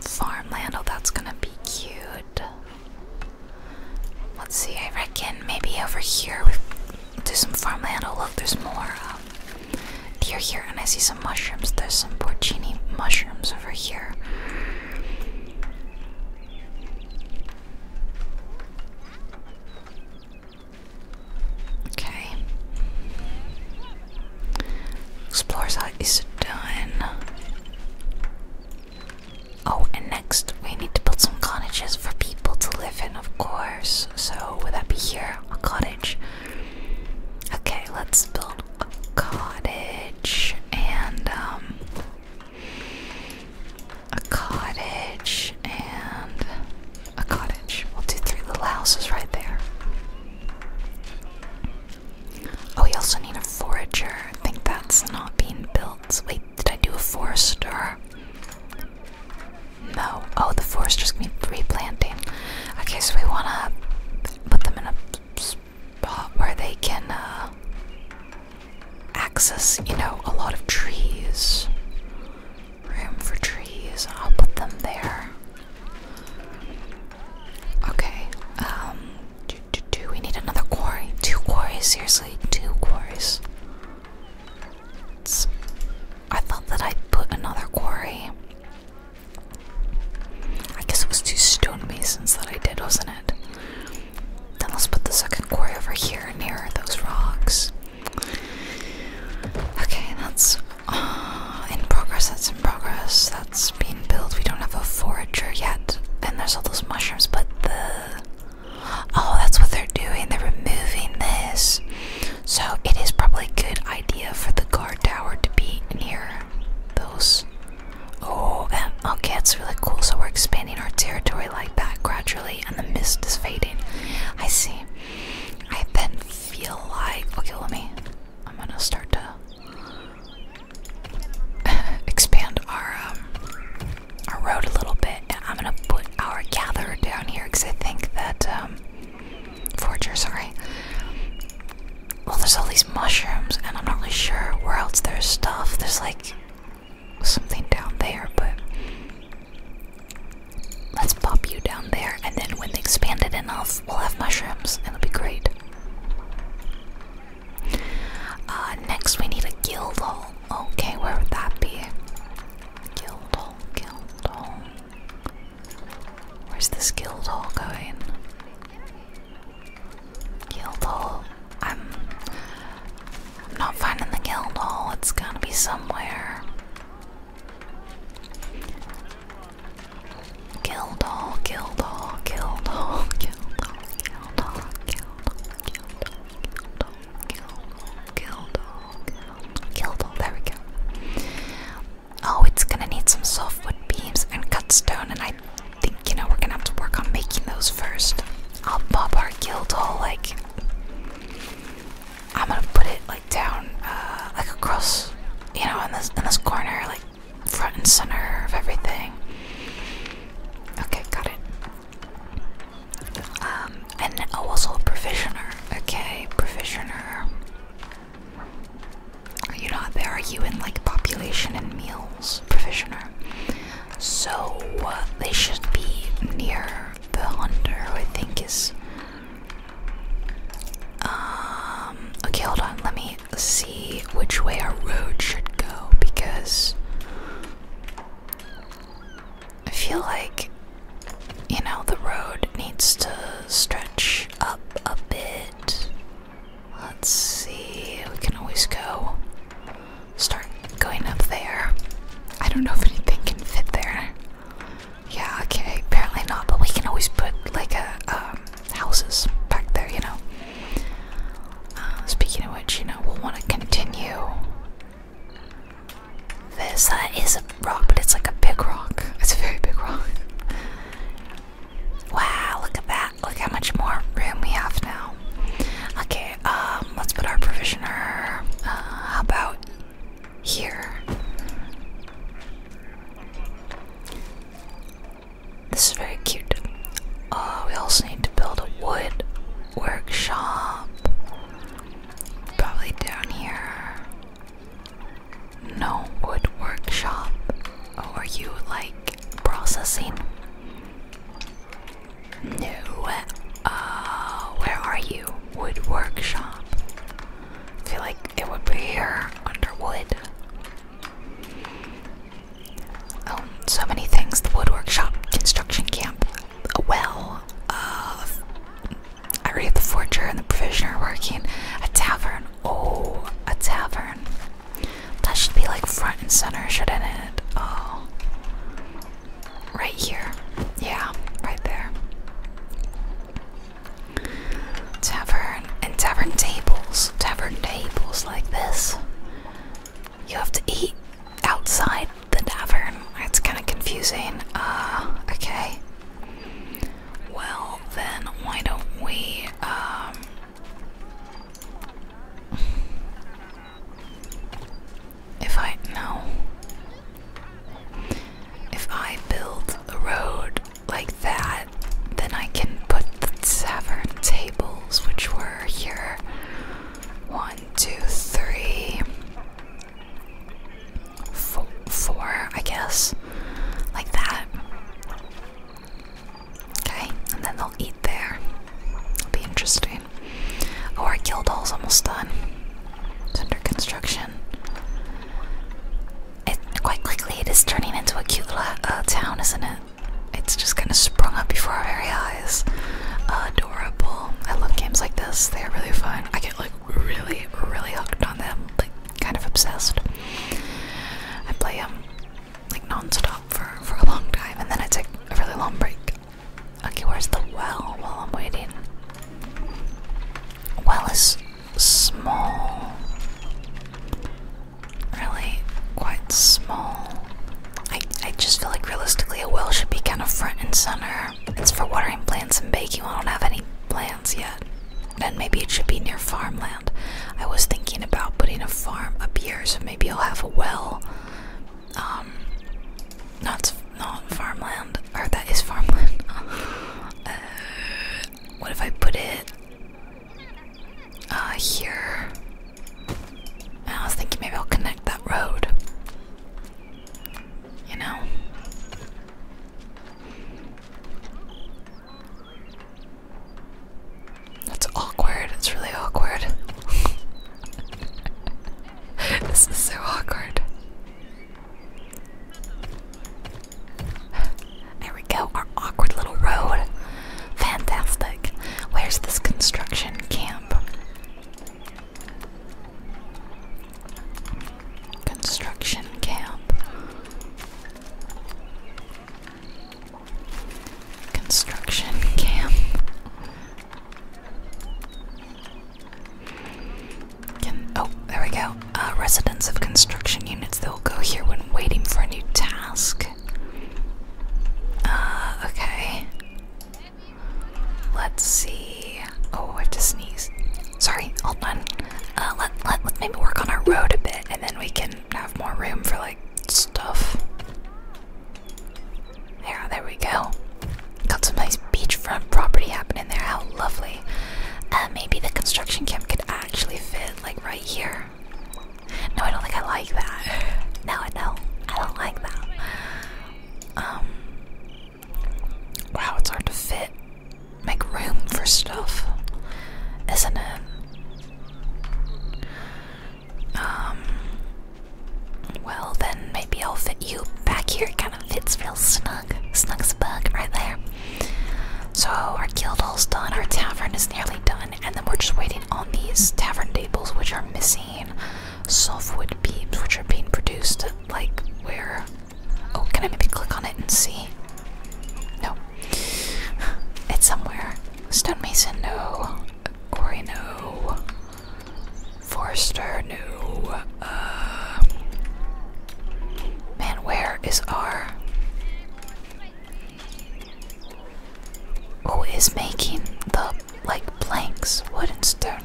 A: Farmland, oh, that's gonna be cute. Let's see, I reckon maybe over here we do some farmland. Oh, look, there's more um, deer here, and I see some mushrooms. There's some porcini mushrooms over here. Okay. Explorer's Hut is done. Oh, and next we need to build some cottages for people to live in, of course. So, would that be here? A cottage. Okay, let's build a cottage and um a cottage and a cottage. We'll do three little houses right there. Oh, we also need a forager. I think that's not being built. Wait, did I do a forester? No. Oh, the forester's gonna be replanting. Okay, so we wanna put them in a spot where they can uh, access, you know, a lot of trees. Room for trees. I'll put them there. Okay. Um. Do, we need another quarry? Two quarries? Seriously, two quarries. I thought that I would put another quarry. I guess it was two stonemasons that I did, wasn't it? Then let's put the second quarry over here near those rocks. Okay, that's uh, in progress, that's in progress, that's being built. We don't have a forager yet, and there's all those mushrooms, but the. Oh, that's what they're doing, they're removing this. So it is probably a good idea for the guard tower to be near those Oh, okay, it's really cool. So we're expanding our territory like that gradually, and the mist is fading. I see. I then feel like. Okay, let me. I'm gonna start to <laughs> expand our um, our road a little bit, and I'm gonna put our gatherer down here because I think that um, forger, sorry, well, there's all these mushrooms, and I'm not really sure where else there's stuff. There's like something down there, but let's pop you down there, and then when they expand it enough, we'll have mushrooms. and It'll be great. Uh, next, we need a guild hall. Okay, where would that be? Guild hall, guild hall. Where's this guild hall going? Guild Hall. I'm, not finding the guild It's gotta be somewhere. Guild hall, guild hall, guild hall, guild hall, guild hall, There we go. Oh, it's gonna need some softwood beams and cut stone, and I think, you know, we're gonna have to work on making those first. I'll pop our guild hall, like, I'm gonna put it, like, down, uh, like, across, you know, in this, in this corner, like, front and center of everything. Okay, got it. Um, and oh, also a provisioner. Okay, provisioner. Are you not there are you in like population and meals provisioner. So uh, they should be near the hunter, who I think is. Um, okay, hold on. Let me see which way our road should go because I feel like you know the road needs to stretch up a bit. Let's see, we can always go start going up there. I don't know if anything can fit there. Yeah, okay, apparently not, but we can always put like a um, houses back there, you know. Uh, speaking of which, you know, we'll want to continue. This uh, is a rock, but it's like a big rock. It's a very big rock. Wow, look at that. Look how much more room we have now. Okay, um, let's put our provisioner. Uh, how about here? This is very cute. Uh, we also need to build a wood workshop. Probably down here. No wood workshop. Oh, are you like processing? No. Uh, where are you? Wood workshop. feel like it would be here under wood. Oh, so many things. The wood workshop, construction camp, a well, uh, I read the forger and the provisioner working, a tavern, Oh, a tavern. That should be like front and center, shouldn't it? Oh. Right here. Yeah, right there. Tavern and tavern tables. Tavern tables like this. You have to eat outside the tavern. It's kind of confusing. Uh, okay. Well, then, why don't we, um, if I no, if I build a road like that, then I can put the tavern tables, which were here. One, two, three, four, four I guess, like that. Okay, and then they'll eat there. It'll be interesting. Oh, our guild hall's almost done. It's under construction. It quite quickly it is turning into a cute little uh, town, isn't it? It's just kind of sprung up before our very eyes. Adorable. I love games like this. They're really fun. I get like really, really hooked on them, like kind of obsessed. I play them um, like non-stop for, for a long time and then I take a really long break. Okay, where's the well while I'm waiting? Well is small. Really quite small. I, I just feel like realistically a well should be kind of front and center. It's for watering plants and baking. I don't have any plants yet. Then maybe it should be near farmland. I was thinking about putting a farm up here, so maybe I'll have a well. Um, not not farmland, or that is farmland. <laughs> Uh, what if I put it uh, here? I was thinking maybe I'll connect that road. You know. That's awkward. It's really awkward. <laughs> this is so awkward. There we go, our awkward little road. Fantastic. Where's this construction camp? Construction camp construction camp. oh, there we go. Uh, residents of construction units, they'll go here when waiting for a new task. Uh, okay. Let's see. Oh, I have to sneeze. Sorry, hold on. Uh, let, let, let's maybe work on our road a bit, and then we can have more room for like stuff. Yeah, there we go. Got some nice beachfront property happening there. How lovely. Uh, maybe the construction camp could actually fit like right here. No, I don't think I like that. <laughs> No, I don't. I don't like that. Um. Wow, it's hard to fit. Make room for stuff, isn't it? Um, well, then maybe I'll fit you back here. It kind of fits real snug. Snug's bug right there. So, our guild hall's done, our tavern is nearly done, and then we're just waiting on these tavern tables, which are missing softwood beams, which are being produced. Like, where? Oh, can I maybe click on it and see? No. <laughs> It's somewhere. Stonemason, no. Quarry, no. Forster, no. Uh, man, where is R? Who is making the, like, planks? Wood and stone.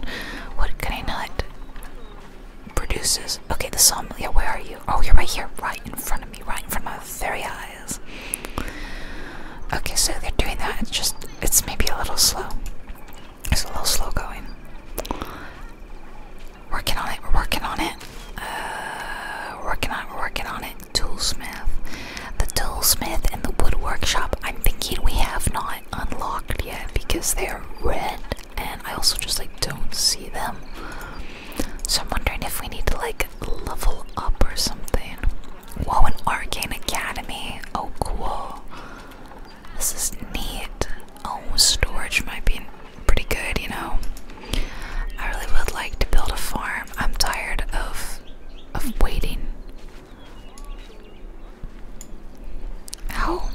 A: What can I not? Produces. Okay, the sawmill. where are you? Oh, you're right here, right in front of me, right in front of my very eyes. Okay, so they're doing that. It's just, it's maybe a little slow. It's a little slow going. Working on it, we're working on it. Uh, working on it, working on it. Toolsmith. The toolsmith and the wood workshop, I'm thinking we have not unlocked yet because they're red and I also just like don't see them. So I'm wondering if we need to like level up or something. Whoa, an arcane academy. Oh, cool. This is neat. Oh, storage might be pretty good, you know. I really would like to build a farm. I'm tired of of waiting. How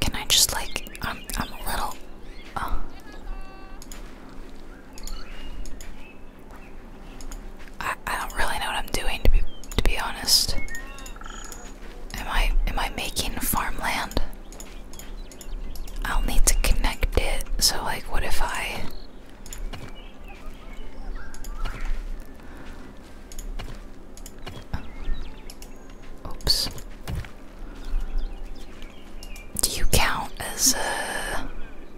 A: can I just like? I'm I'm a little. Uh, I don't really know what I'm doing to be to be honest. Am I am I making farmland? I'll need to connect it. So like what if I Oops. Do you count as a.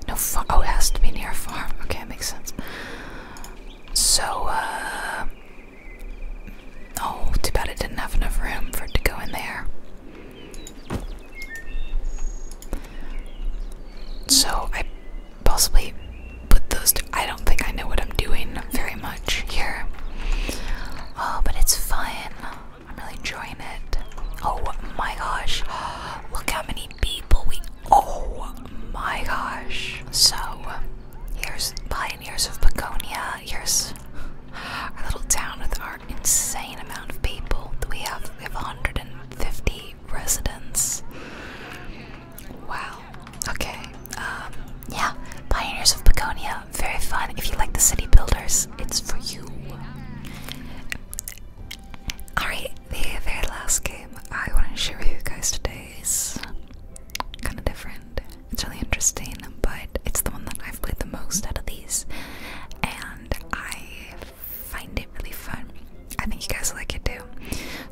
A: No, Fuck! Oh, it has to be near a farm. Okay, that makes sense. So, uh. Oh, too bad it didn't have enough room for it to go in there. So, I possibly put those. Two. I don't think I know what I'm doing very much here. Oh, but it's fine. I'm really enjoying it. Oh my gosh. <gasps> Look how many people we. Oh my gosh. So, here's Pioneers of Begonia. Here's our little town with our insane amount of people we have. We have 150 residents. Wow. Okay. Um, yeah. Pioneers of Begonia. Very fun. If you like the city builders, it's for you. Alright, the very last game I want to show you guys today is kind of different. It's really interesting, but it's the one that I've played the most out of these, and I find it really fun. I think you guys like it too.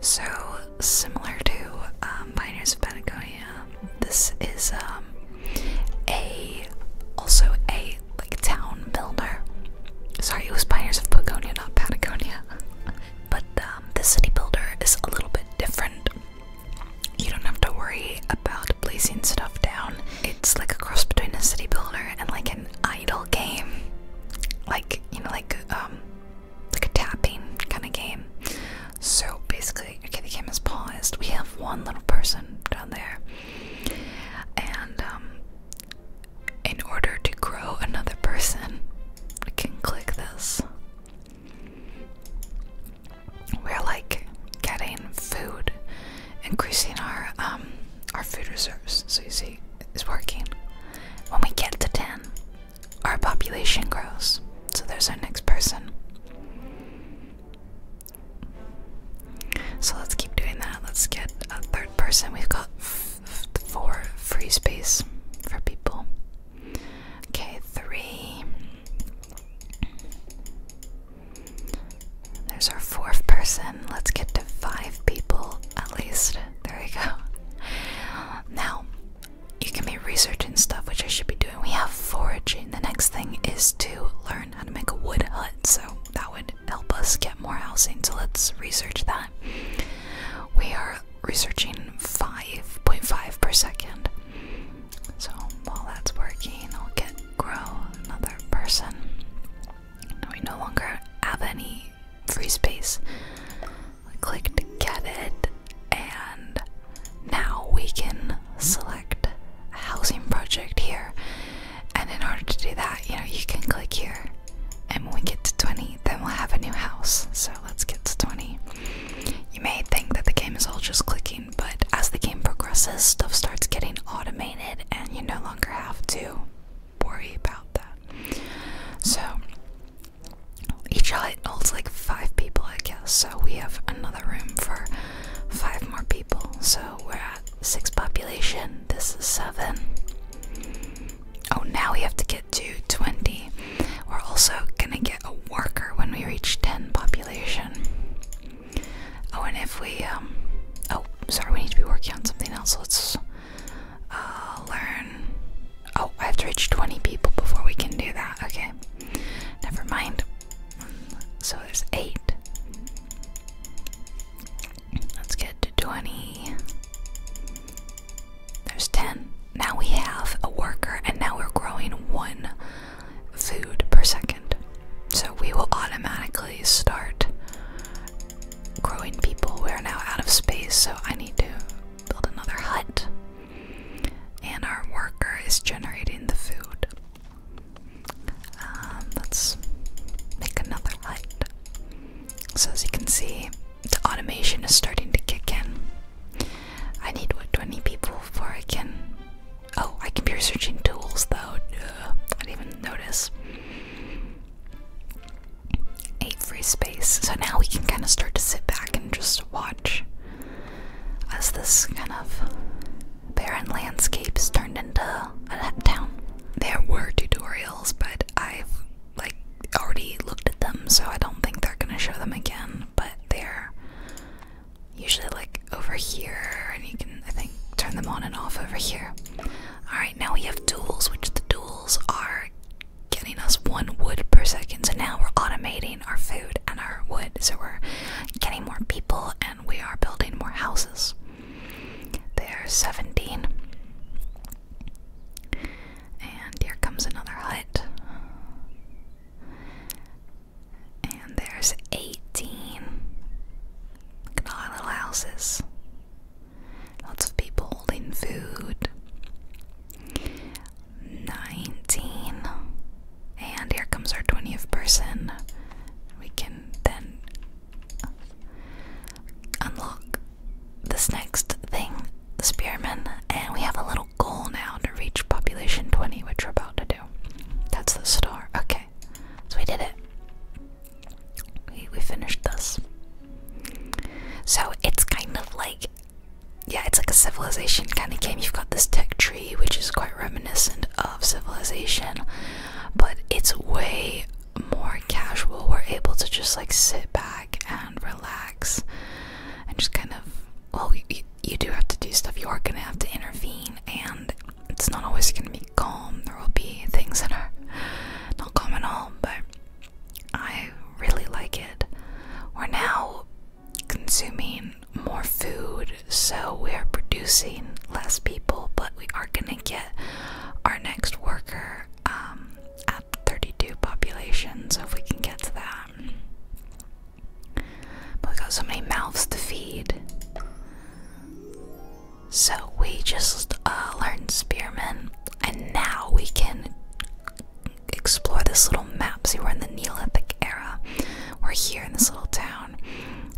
A: So, similar to um, Pioneers of Patagonia, this is um, a also a like town builder. Sorry, it was Pioneers of Patagonia, not Patagonia. <laughs> but um, the city builder is a little bit different. You don't have to worry about blazing stuff down. It's like a cross between a city builder and like an idle game, like you know, like um, like a tapping kind of game. So basically, okay, the game is paused. We have one little person down there, and um, in order to grow another person, we can click this. We're like getting food, increasing our um, our food reserves. So you see, it's working. When we get to ten, our population grows. So there's our next person. So let's keep doing that. Let's get a third person. We've got four free space for people. Okay, three. There's our fourth person. Let's get to five people at least. There we go. Now, you can be researching stuff, which I should be doing. We have foraging. The next thing is to learn how to make a wood hut, so that would help us get more housing. So let's research that. We are researching 5.5 per second. So while that's working, I'll get grow another person. we no longer have any free space. I clicked get it, and now we can select a housing project here. And in order to do that, you know, you can click here. And when we get to 20, then we'll have a new house. So let's get to 20. You may think that the game is all just clicking, but as the game progresses, stuff starts getting automated and you no longer have to worry about that. So each hut holds like five people, I guess. So we have another room for five more people. So we're at six population. This is seven. Oh, now we have to get to 20. We're also gonna get a worker when we reach 10 population. Oh, and if we, um, oh, sorry, we need to be working on something else. Let's uh, learn. Oh, I have to reach 20 people before we can do that. Okay, never mind. So there's eight. Let's get to 20. There's 10. Now we have a worker, and now we're growing one food per second. So we will automatically start growing people. We are now out of space, so I need to build another hut. And our worker is generating the food. Um, let's make another light. So as you can see, the automation is starting to kick in. I need what 20 people before I can. Oh, I can be researching tools though. Uh, I didn't even notice. Eight free space. So now we can kind of start to sit back and just watch as this kind of barren landscapes turned into a town. There were tutorials, but I've like already looked at them, so I don't think they're gonna show them again. But they're usually like over here, and you can I think turn them on and off over here. All right, now we have duels, which the duels are getting us one wood per second. So now we're automating our food and our wood, so we're getting more people and we are building more houses. There's 17. And here comes another hut. And there's 18. Look at all our little houses. Lots of people holding food. 19. And here comes our 20th person. We can then unlock this next thing, Spearman, and we have a little goal now to reach population 20, which we're about to do. That's the star. Okay, so we did it. We, we finished this. So it's kind of like, yeah, it's like a civilization kind of game. You've got this tech tree, which is quite reminiscent of civilization, but it's way more casual. We're able to just like sit back and relax and just kind of, well, you, do have to do stuff. You are going to have to intervene, and it's not always going to be calm. There will be things that are not calm at all, but I really like it. We're now consuming more food, so we're producing less people, but we are going to get our next worker um, at 32 population, so if we can get to that. But we got so many mouths to feed. So we just uh, learned spearmen, and now we can explore this little map. See, we're in the Neolithic era. We're here in this little town.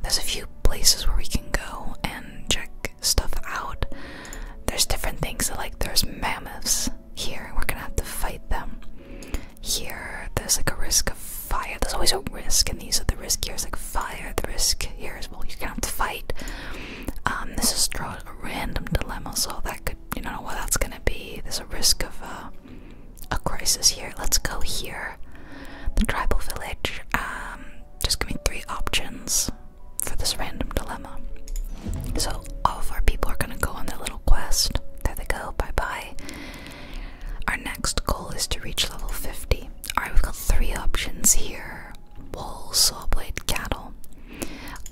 A: There's a few places where we can go and check stuff out. There's different things that, like, there's mammoths here, and we're gonna have to fight them. Here, there's like a risk of fire. There's always a risk, and these are the risk here is like fire. The risk here is well, you're gonna have to fight. Um, this is draw a random dilemma, so that could you don't know what that's gonna be. There's a risk of uh, a crisis here. Let's go here, the tribal village. Um, just give me three options for this random dilemma. So, all of our people are gonna go on their little quest. There they go, bye bye. Our next goal is to reach level 50. Alright, we've got three options here wolves, sawblade, cattle.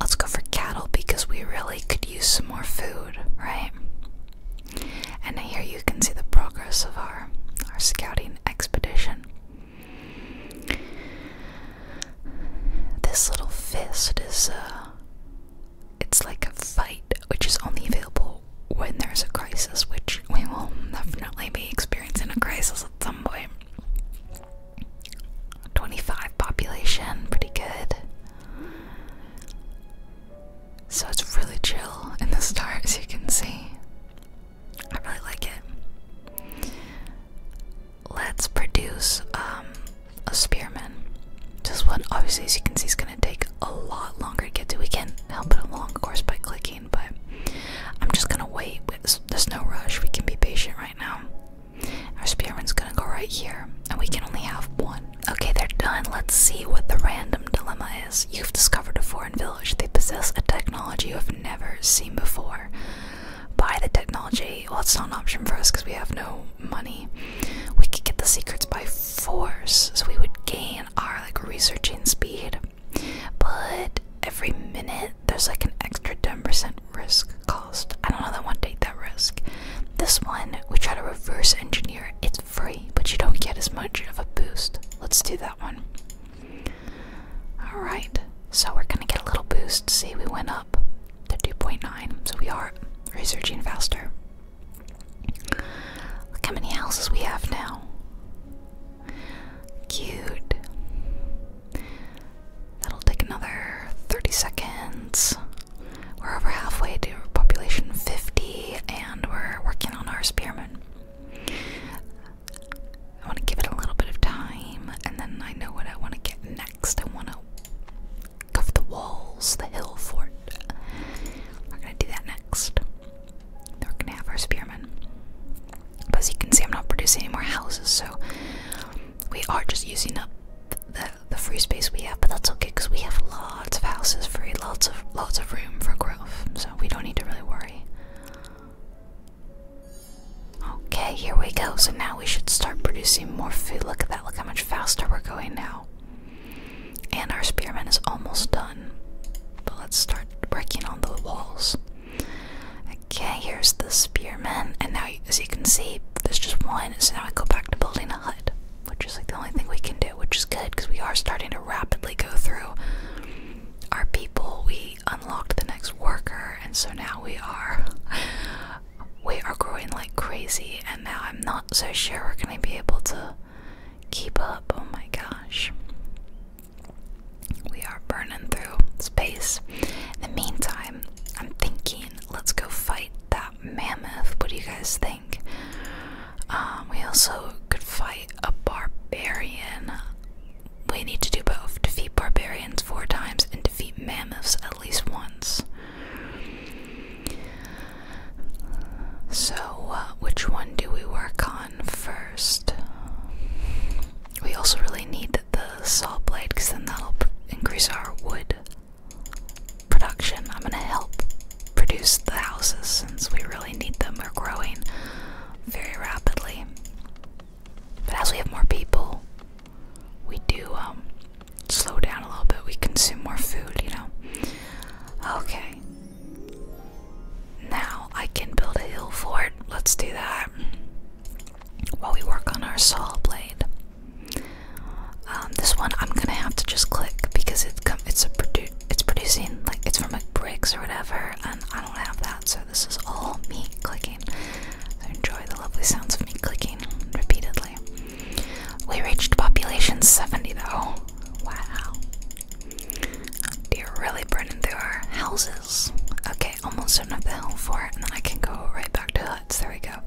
A: Let's go for cattle because we really could use some more food, right? And here you can see the progress of our, our scouting expedition. This little fist is uh, it's like a fight which is only available when there's a crisis, which we will definitely be experiencing a crisis at some point. 25 population, pretty good. So it's really chill in the stars, you can see. I really like it. Let's produce um, a spearman. Just what, obviously, as you can see, is going to take a lot longer to get to. We can help it along, of course, by clicking, but I'm just going to wait. There's no rush. We can be patient right now. Our spearman's going to go right here, and we can only have one. Okay, they're done. Let's see what the random dilemma you've discovered a foreign village. They possess a technology you've never seen before. Buy the technology. Well, it's not an option for us because we have no money. We could get the secrets by force, so we would gain our like researching speed. But every minute there's like an extra 10% risk cost. I don't know that to take that risk. This one we try to reverse engineer. It's free, but you don't get as much of a boost. Let's do that one. Alright, so we're gonna get a little boost. See, we went up to 2.9, so we are researching faster. Look how many houses we have now. Cute. That'll take another 30 seconds. We're over halfway to population 50, and we're working on our spearmen. I want to give it a little bit of time, and then I know what I want to get next. I want to go for the walls, the hill fort. We're gonna do that next. we're gonna have our spearmen. as you can see, I'm not producing any more houses, so we are just using up the the free space we have. But that's okay, cause we have lots of houses free, lots of lots of room for growth, so we don't need to really worry. Okay, here we go. So now we should start producing more food. Look at that. Look how much faster we're going now. And our spearman is almost done. But let's start working on the walls. Okay, here's the spearman. And now, as you can see, there's just one. So now I go back to building a hut, which is like the only thing we can do, which is good because we are starting to rapidly go through our people, we unlocked the next worker, and so now we are we are growing like crazy and now I'm not so sure we're gonna be able to keep up. Oh my gosh. We are burning through space. In the meantime, I'm thinking let's go fight that mammoth. What do you guys think? Um, we also could fight a barbarian we need to do both defeat barbarians four times and defeat mammoths at least once. So, uh, which one do we work on first? We also really need the saw blade because then that'll increase our wood production. I'm gonna help produce the houses since we really need them. They're growing very rapidly. But as we have more people, we do um, slow down a little bit. We consume more food, you know. Okay. Now I can build a hill fort. Let's do that while we work on our saw blade. Um, this one I'm gonna have to just click because it's a it's producing like it's from like bricks or whatever and I don't have that, so this is all me clicking. So enjoy the lovely sounds of me clicking repeatedly. We reached population 70 though. Wow. you really burning through our houses. Okay, almost enough the hill for it, and then I can go right back to huts. There we go.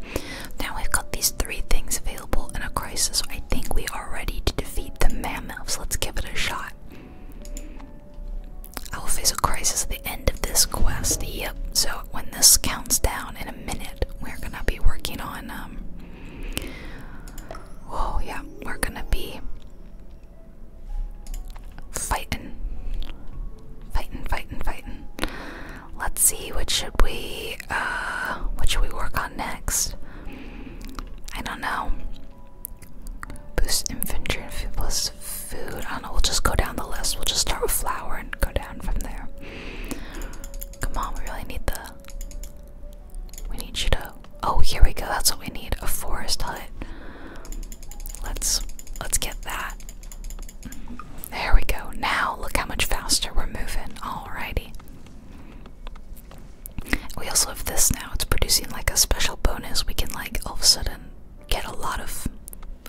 A: Now we've got these three things available in a crisis. I think we are ready to defeat the mammoths. Let's give it a shot. I will face a crisis at the end of this quest. Yep. So when this counts down in a minute, we're gonna be working on. Um, whoa, yeah, we're gonna be fighting, fighting, fighting, fighting. Let's see. What should we? Uh, what should we work on next? I don't know. Boost infantry and plus food. I know, we'll just go down the list. We'll just start with flour and go down from there. Come on, we really need the. We need you to. Oh, here we go. That's what we need. A forest hut. Let's let's get that. There we go. Now look how much faster we're moving. Alrighty. We also have this now it's producing like a special bonus. We can like all of a sudden get a lot of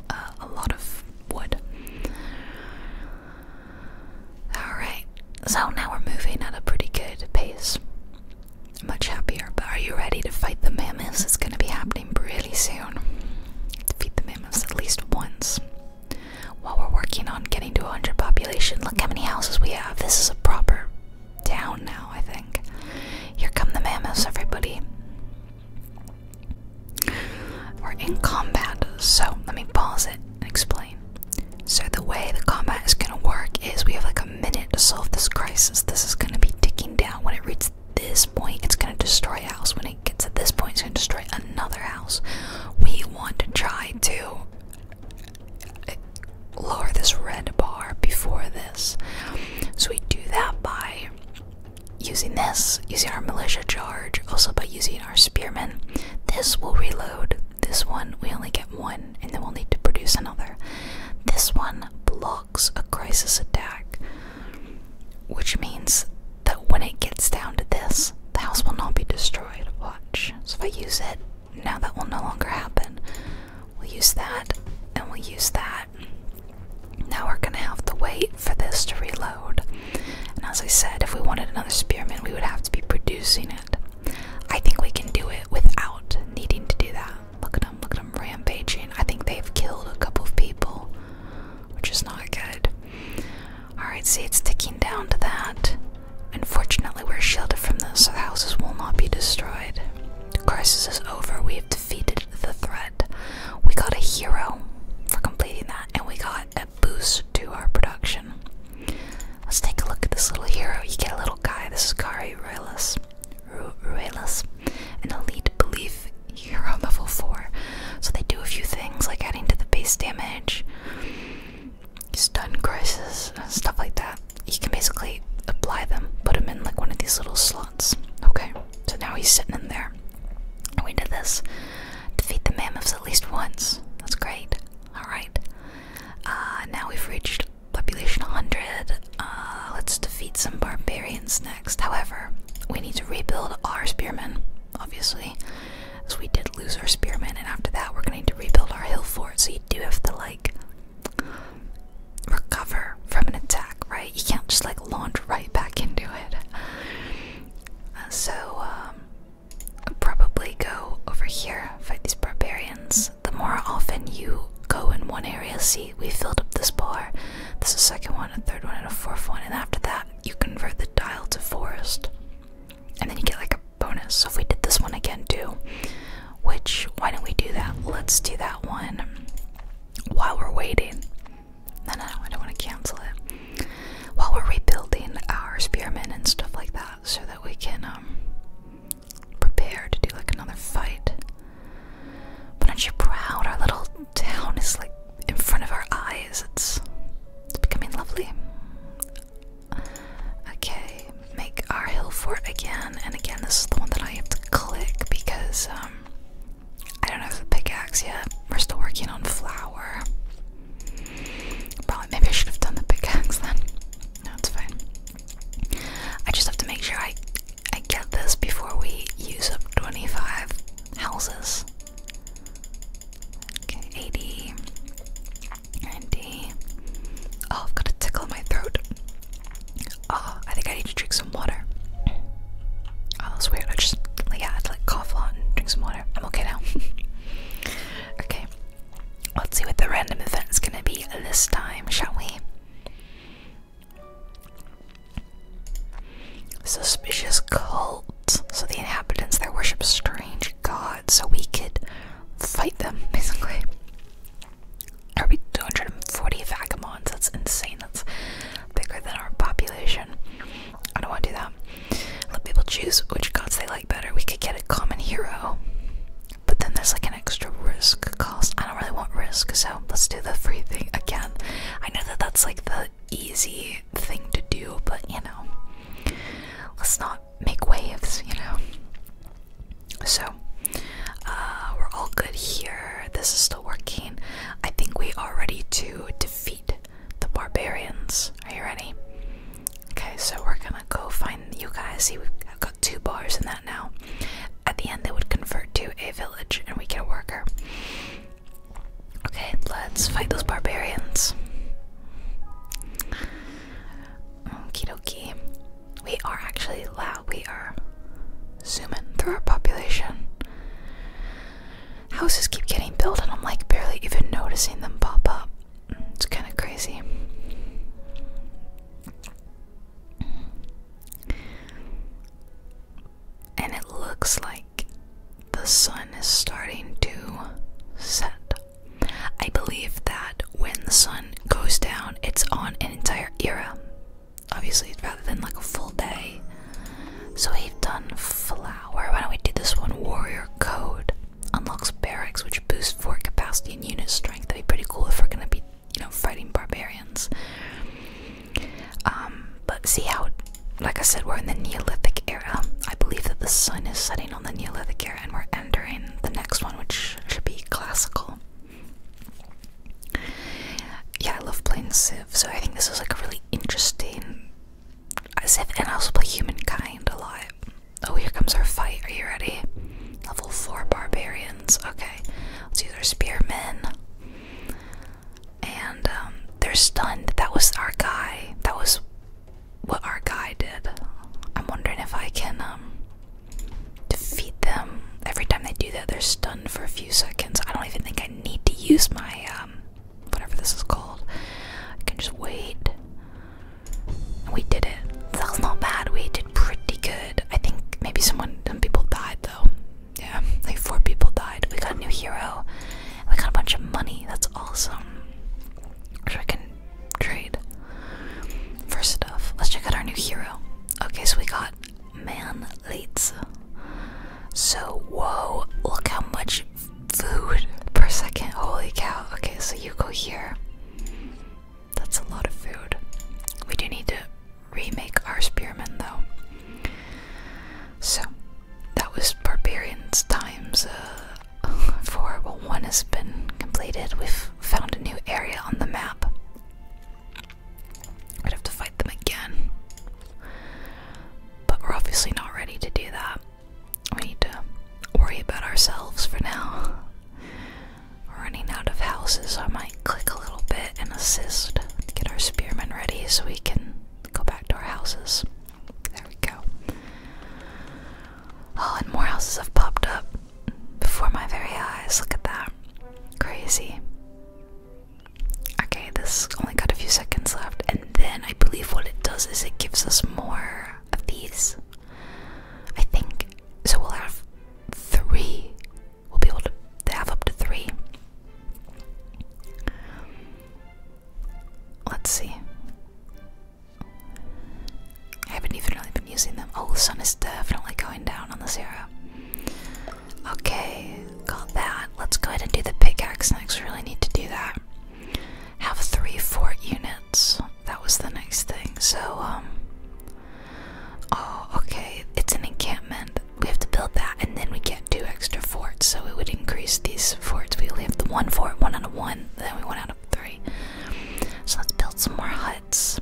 A: uh, a lot of wood. All right, so now we're moving at a pretty good pace. Much happier. But are you ready to fight the mammoths? It's going to be happening really soon. Defeat the mammoths at least once. While we're working on getting to 100 population, look how many houses we have. This is a proper down now, I think. Here come the mammoths, everybody. We're in combat, so let me pause it and explain. So, the way the combat is gonna work is we have like a minute to solve this crisis. This is gonna be ticking down. When it reaches this point, it's gonna destroy a house. When it gets at this point, it's gonna destroy another house. We want to try to lower this red bar before this. So we do that by using this, using our militia charge, also by using our spearmen. This will reload. This one, we only get one, and then we'll need to produce another. This one blocks a crisis attack, which means that when it gets down to this, the house will not be destroyed. Watch. So if I use it, now that will no longer happen. We'll use that and we'll use that. Now we're gonna have to wait for this to reload. And as I said, if we wanted another spearmint, we would have to be producing it. I think we can do it without needing to do that. Look at them, look at them rampaging. I think they've killed a couple of people, which is not good. Alright, see, it's ticking down to that. Unfortunately, we're sheltered from this, so the houses will not be destroyed crisis is over. We have defeated the threat. We got a hero for completing that, and we got a boost to our production. Let's take a look at this little hero. You get a little guy. This is Kari Ruelas. Ru Ruelas, an elite belief hero <laughs> level 4. So they do a few things like adding to the base damage, stun crisis, stuff like that you can basically apply them, put them in like one of these little slots. Okay, so now he's sitting in there. And we did this. Defeat the mammoths at least once. That's great. Alright. Uh, now we've reached population 100. Uh, let's defeat some barbarians next. However, we need to rebuild our spearmen, obviously. as we did lose our spearmen, and after that, we're going to need to rebuild our hill fort. So you do have to, like, recover from an attack, right? You can't just like launch right back into it. Uh, so, um, I'll probably go over here, fight these barbarians. The more often you go in one area, see, we filled up this bar. This is a second one, a third one, and a fourth one. And after that, you convert the dial to forest. And then you get like a bonus. So if we did this one again do. Which, why don't we do that? Let's do that one while we're waiting. No, no, I don't want to cancel it. While we're rebuilding our spearmen and stuff like that, so that we can um, prepare to do like another fight. But aren't you proud? Our little town is like in front of our eyes. it's becoming lovely. Okay, make our hill fort again and again, this is the one that I have to click because um, I don't have the pickaxe yet. We're still working on flour. Probably, maybe I should have done the pickaxe then. No, it's fine. I just have to make sure I I get this before we use up 25 houses. 80, 90. Oh, I've got a tickle in my throat. Oh, I think I need to drink some water. Oh, that's weird. I just, yeah, I had to like cough a lot and drink some water. I'm okay now. <laughs> okay, let's see what the random event's gonna be this time, shall we? Suspicious cult. So the inhabitants there worship strange gods, so we could fight them, <laughs> basically. Are we 240 vagabonds? That's insane. That's bigger than our population. I don't want to do that. Let people choose which gods they like better. We could get a common hero, but then there's like an extra risk cost. I don't really want risk, so let's do the free thing again. I know that that's like the easy thing to do, but you know, let's not make waves, you know. So, uh, we're all good here. This is still working. I think we are ready to defeat the barbarians. Are you ready? Okay, so we're gonna go find you guys. See, we've got two bars in that now. At the end, they would convert to a village and we get a worker. Okay, let's fight those barbarians. Okie dokie. We are actually loud. We are zooming through our population. Houses keep getting built, and I'm like barely even noticing them pop up. It's kind of crazy. And it looks like the sun is starting to set. I believe that when the sun goes down, it's on an entire era obviously rather than like a full day. So we've done flower. Why don't we do this one? Warrior code unlocks barracks, which boosts fort capacity and unit strength. That'd be pretty cool if we're gonna be, you know, fighting barbarians. Um, but see how, like I said, we're in the Neolithic era. Um, I believe that the sun is setting on the Neolithic era, and we're entering the next one, which should be classical. Yeah, I love playing Civ, so I think this is like a really interesting Civ, and I also play Humankind a lot. Oh, here comes our fight. Are you ready? Level 4 barbarians. Okay, let's use our spearmen. And um, they're stunned. That was our guy. That was what our guy did. I'm wondering if I can um, defeat them. Every time they do that, they're stunned for a few seconds. I don't even think I need to use my, um, whatever this is called. I can just wait. we did it. That was not bad. We did pretty good. I think maybe someone, some people died though. Yeah, <laughs> like four people died. We got a new hero. We got a bunch of money. That's awesome. Which I can trade for stuff. Let's check out our new hero. Okay, so we got man leads. So, whoa, look how much food per second. Holy cow. Okay, so you go here. That's a lot of food. We do need to remake our spearmen though. So, that was Barbarians times uh, 4. Well, one has been completed. We've found a new area on the map. I'd have to fight them again. But we're obviously not ready to do that. We need to worry about ourselves for now. We're running out of houses, I might click a little bit and assist get our spearmen ready so we can go back to our houses. There we go. Oh, and more houses have popped up before my very eyes. Look at that. Crazy. Okay, this only got a few seconds left, and then I believe what it does is it gives us more of these. I think so. We'll have three. We'll be able to have up to three. Let's see. I haven't even really been using them. Oh, the sun is definitely going down on this era. Okay, got that. Let's go ahead and do the pickaxe next. We really need to do that. Have three fort units. That was the next thing. So, um. Oh, okay. It's an encampment. We have to build that, and then we get two extra forts. So we would increase these forts. We only have the one fort, one out of one, then we went out of three. So let's build some more huts.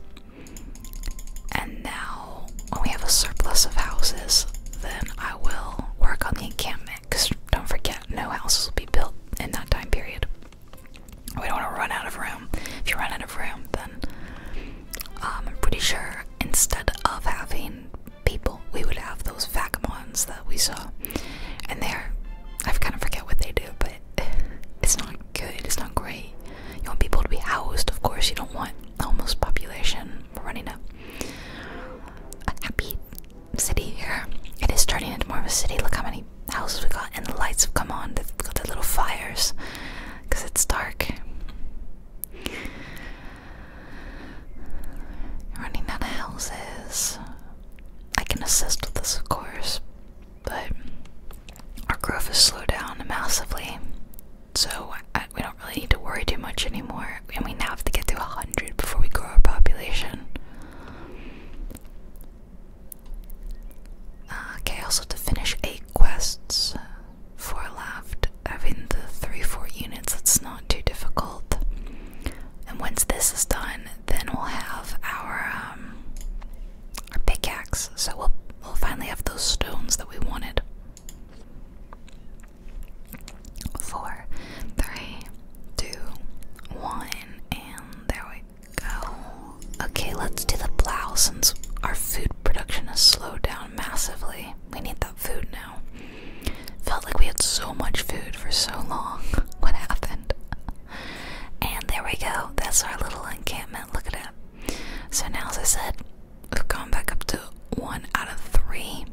A: And now, when we have a surplus of houses, then I will work on the encampment. Because don't forget, no houses will be built in that time period. We don't want to run out of room. If you run out of room, then um, I'm pretty sure instead of having people, we would have those vagabonds that we saw. And they're, I kind of forget what they do, but it's not good, it's not great. You want people to be housed, of course, you don't want almost population running a, happy city here it is turning into more of a city look how many houses we got and the lights have come on they've got their little fires because it's dark running out of houses i can assist with this of course but our growth has slowed down massively so we don't really need to worry too much anymore. And we now have to get to 100 before we grow our population. okay, also to finish 8 quests, 4 left. Having the 3 4 units, it's not too difficult. And once this is done, then we'll have our, um, our pickaxe. So we'll, we'll finally have those stones that we wanted. Four, three, two, one, and there we go. Okay, let's do the plow since our food production has slowed down massively. We need that food now. Felt like we had so much food for so long. <laughs> What happened? And there we go. That's our little encampment. Look at it. So now, as I said, we've gone back up to one out of three.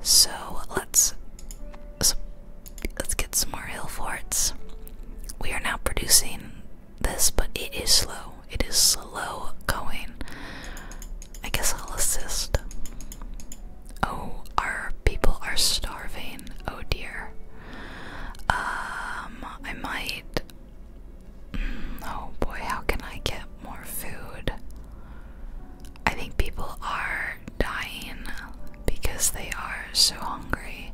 A: So let's let's get some more hill forts. We are now producing this, but it is slow. It is slow going. I guess I'll assist. Oh, our people are starving. Oh dear. Um, I might oh boy, how can I get more food? I think people are dying because they are so hungry.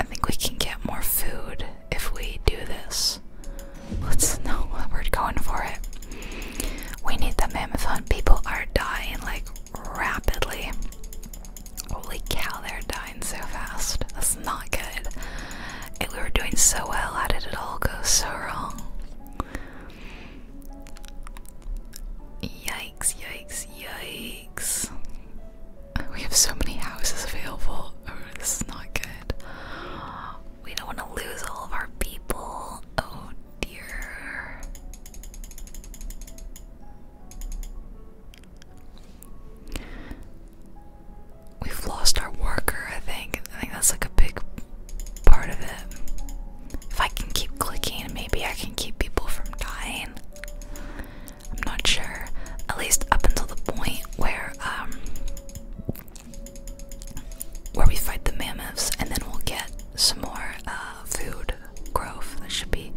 A: I think we can get more food if we do this. Let's know we're going for it. We need the mammoth hunt. People are dying like rapidly. Holy cow, they're dying so fast. That's not good. we were doing so well. How did it all go so wrong? Yikes, yikes, yikes. We have so many houses available. Oh, this is not good. We don't want to lose all of our people. Oh dear. We've lost our worker, I think. I think that's like a big part of it. If I can keep clicking, maybe I can keep people from dying. I'm not sure. At least up until the point where um, where we fight the mammoths and then we'll get some more uh, food growth. That should be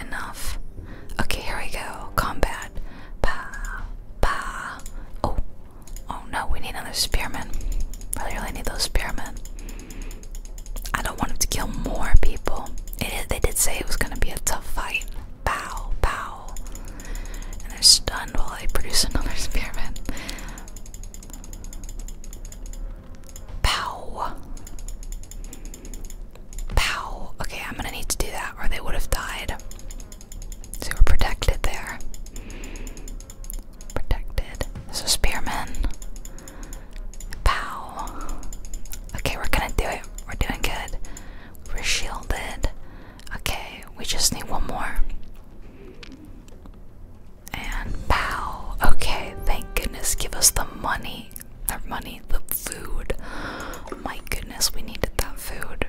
A: enough. Okay, here we go. Combat god. Pa, Oh, oh no, we need another spearman. I really need those spearmen. I don't want him to kill more people. they did say it was gonna be a tough fight. Pow, pow. And they're stunned while they produce <laughs> another spearmen. Pow. Pow. Okay, I'm gonna need to do that or they would have died. So we're protected there. Protected. There's a spearman. Pow. Okay, we're gonna do it. We're doing good. We're shielded. Okay, we just need one more. And pow. Okay, thank goodness. Give us the money our money, the food. My goodness, we needed that food.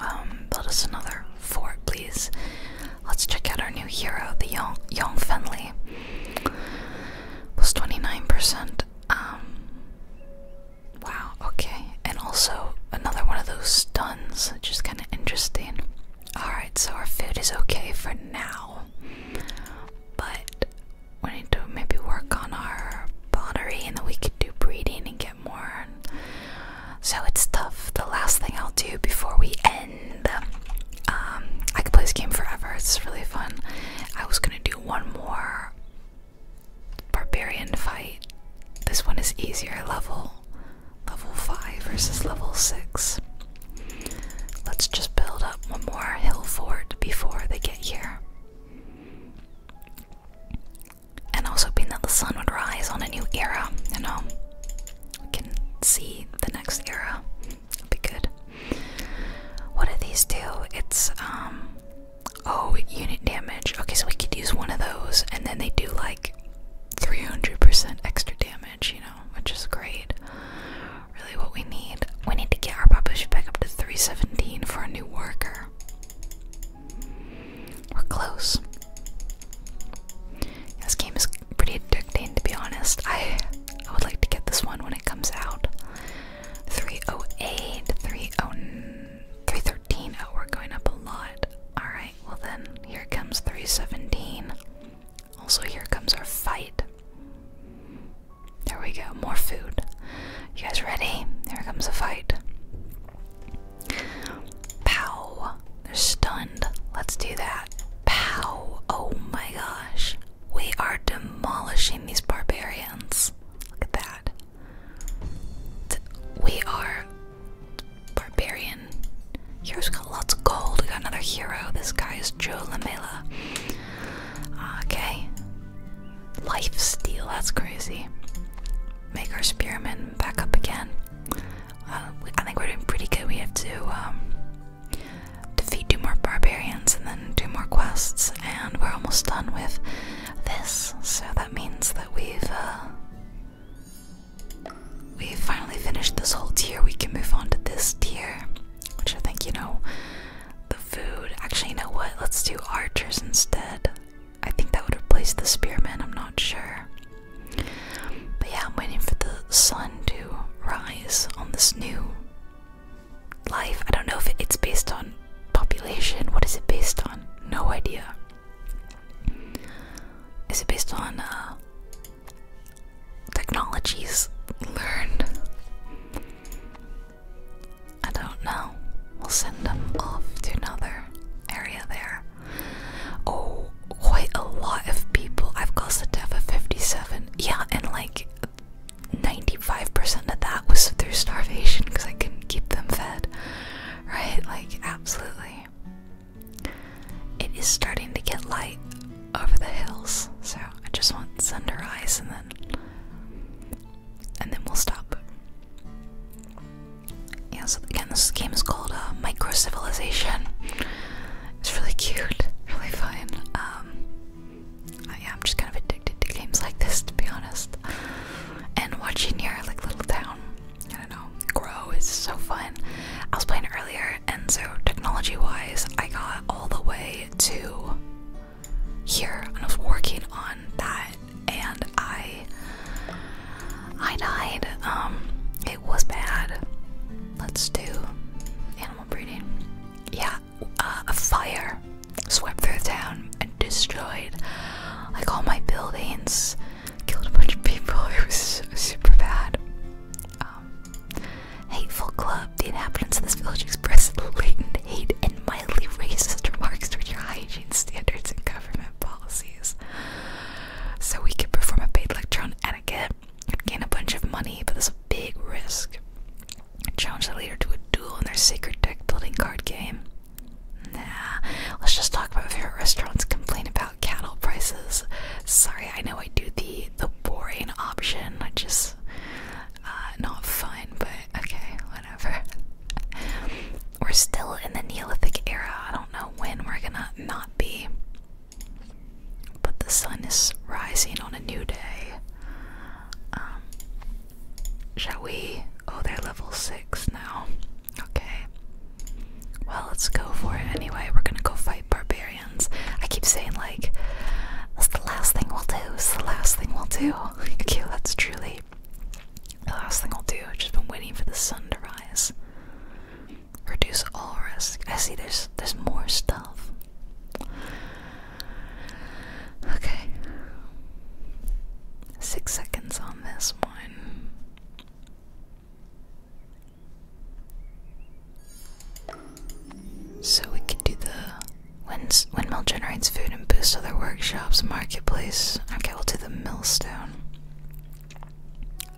A: Um, build us another fort, please. Let's check out our new hero, the Young Young Fenley. Plus twenty nine percent. Um. Wow. Okay. And also another one of those stuns, which is kind of interesting. All right. So our food is okay for now, but we need to maybe work on our pottery and then we could do breeding and get more. So it's tough. The last thing I'll do before we end, um, I could play this game forever. It's really fun. I was gonna do one more barbarian fight. This one is easier. Level, level five versus level six. Let's just build up one more hill fort before they get here. And I was hoping that the sun would rise on a new era, you know. can see the next era. It'll be good. What do these do? It's, um, oh, unit damage. Okay, so we could use one of those, and then they do like 300% extra damage, you know, which is great. Really, what we need. We need to get our population back up to 317 for a new worker. We're close. This game is pretty addicting, to be honest. I I would like to get this one when it comes out. 308, 313. Oh, we're going up a lot. Alright, well then, here comes 317. Also, here comes our fight. There we go, more food. You guys ready? Here comes a fight. Pow! They're stunned. Let's do that. Pow! Oh my gosh. We are demolishing these barbarians. Look at that. We are barbarian. Here's got lots of gold. We got another hero. This guy is Joe Lamela. Okay, Life steal, that's crazy. Make our spearmen back up again. Uh, we, I think we're doing pretty good. We have to um, defeat two more barbarians and then two more quests, and we're almost done with this. So that means that we've uh, we've finally finished this whole tier. We can move on to this tier, which I think you know the food. Actually, you know what? Let's do archers instead. I think that would replace the spearmen, I'm not sure. But yeah, I'm waiting for the sun to rise on this new life. I don't know if it's based on population. What is it based on? No idea. Is it based on uh, technologies learned? I don't know. We'll send them off to another area there. Oh, quite a lot of people. I've caused the death of 57. Yeah, and like 95% of that was through starvation because I couldn't keep them fed. Right? Like, absolutely. It is starting to get light over the hills, so I just want to sunrise and then and then we'll stop. Yeah, so again, this game is called uh, Micro Civilization. It's really cute, really fun. Um, I, yeah, I'm just kind of addicted to games like this, to be honest. And watching your like little town, I don't know, grow is so fun. I was playing earlier, and so technology-wise, I got all the way to here, and I was working on that, and I, I died. Um, it was bad. Let's do animal breeding. Yeah, uh, a fire swept through the town and destroyed like all my buildings. Killed a bunch of people. <laughs> It was super bad. Um, hateful club. The inhabitants of this village expressed latent hate and mildly racist remarks toward your hygiene standards and government policies. So we could perform a paid lecture on etiquette and gain a bunch of money, but there's a big risk. Challenge the leader to a duel in their sacred deck-building card game. Nah, let's just talk about favorite restaurants complain about cattle prices. Sorry, I know I do the the boring option. I just uh, not fun, but okay, whatever. <laughs> we're still in the Neolithic era. I don't know when we're gonna not be. But the sun is rising on a new day. Um, shall we? Oh, they're level 6 now. Okay. Well, let's go for it anyway. We're gonna go fight barbarians. I keep saying, like, that's the last thing we'll do. It's the last thing we'll do. <laughs> okay, that's truly the last thing I'll do, I've just been waiting for the sun to rise. Reduce all risk. I see there's there's more stuff. Okay. Six seconds on this one. So we could do the windmill generates food and boosts other workshops, marketplace. Okay, we'll do the millstone.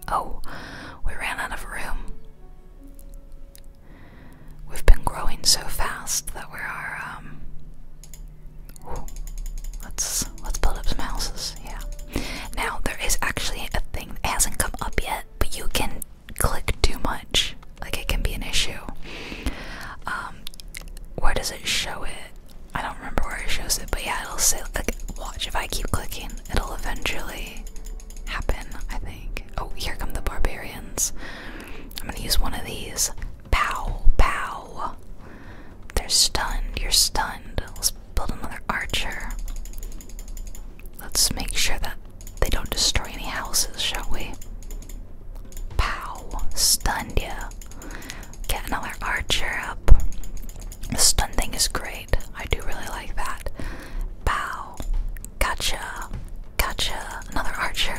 A: Oh, we ran out of room. We've been growing so fast that we are, um. let's let's build up some houses. Yeah. Now there is actually a thing that hasn't come up yet, but you can click too much. Like it can be an issue. Um, where does it show it? I don't remember where it shows it, but yeah, it'll say, like, watch, if I keep clicking, it'll eventually happen, I think. Oh, here come the barbarians. I'm gonna use one of these. Pow, pow. They're stunned, you're stunned. Let's build another archer. Let's make sure that they don't destroy any houses, shall we? Pow! Stunned ya. Get another archer up. The stun thing is great. I do really like that. Pow! Gotcha! Gotcha! Another archer.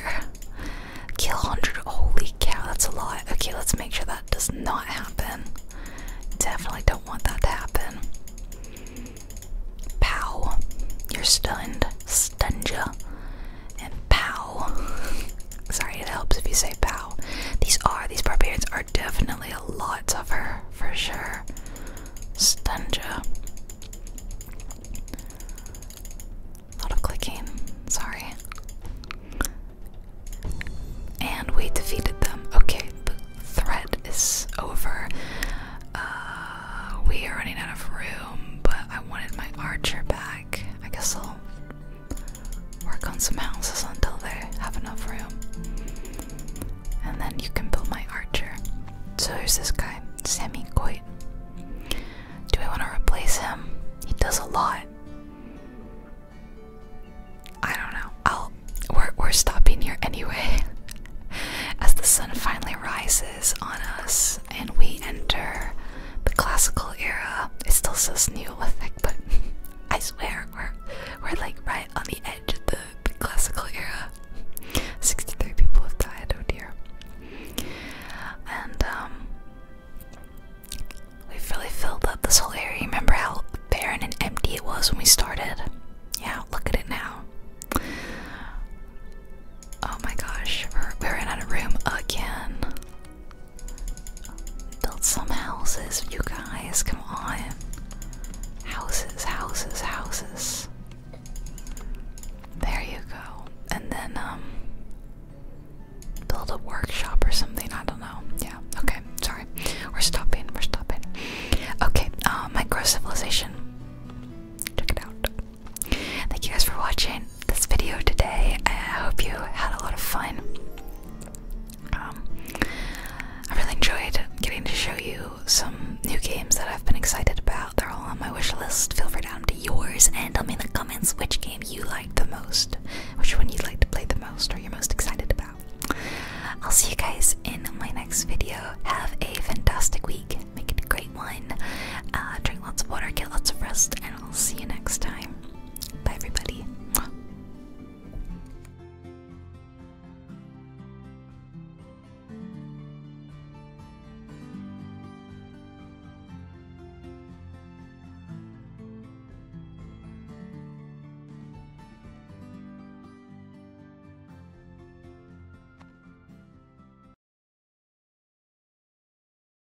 A: Kill 100. Holy cow, that's a lot. Okay, let's make sure that does not happen. Definitely don't want that to happen. Pow! You're stunned. Stunned ya and pow. <laughs> Sorry, it helps if you say pow. These are, these barbarians are definitely a lot tougher, for sure. Stunja. A lot of clicking, sorry. And we defeated them. Okay, the threat is over. Uh, we are running out of room, but I wanted my archer back. I guess I'll work on some houses until they have enough room. And then you can build my archer. So there's this guy? Sammy Coit. Do I want to replace him? He does a lot. I don't know. I'll we're we're stopping here anyway. <laughs> As the sun finally rises on us and we enter the classical era. It's still says Neolithic, but <laughs> I swear we're we're like right on the edge of the, the classical era. 63 people have died, oh dear. And um, we've really filled up this whole area. Remember how barren and empty it was when we started? Yeah, look at it now. Oh my gosh, we're, we're room again. Build some houses, you guys, come on. Houses, houses, houses. There you go. And then, um, build a workshop or something, I don't know. Yeah, okay, sorry. We're stopping, we're stopping. Okay, uh, micro civilization. Check it out. Thank you guys for watching this video today. I hope you had a lot of fun. Um, I really enjoyed getting to show you some new games that I've been excited about. They're all on my wish list. Feel free to add them to yours and tell me in the comments which game you like the most, which one you'd like to play the most, or you're most excited about. I'll see you guys in my next video. Have a fantastic week. Make it a great one. Uh, drink lots of water, get lots of rest, and I'll see you next time. Bye, everybody.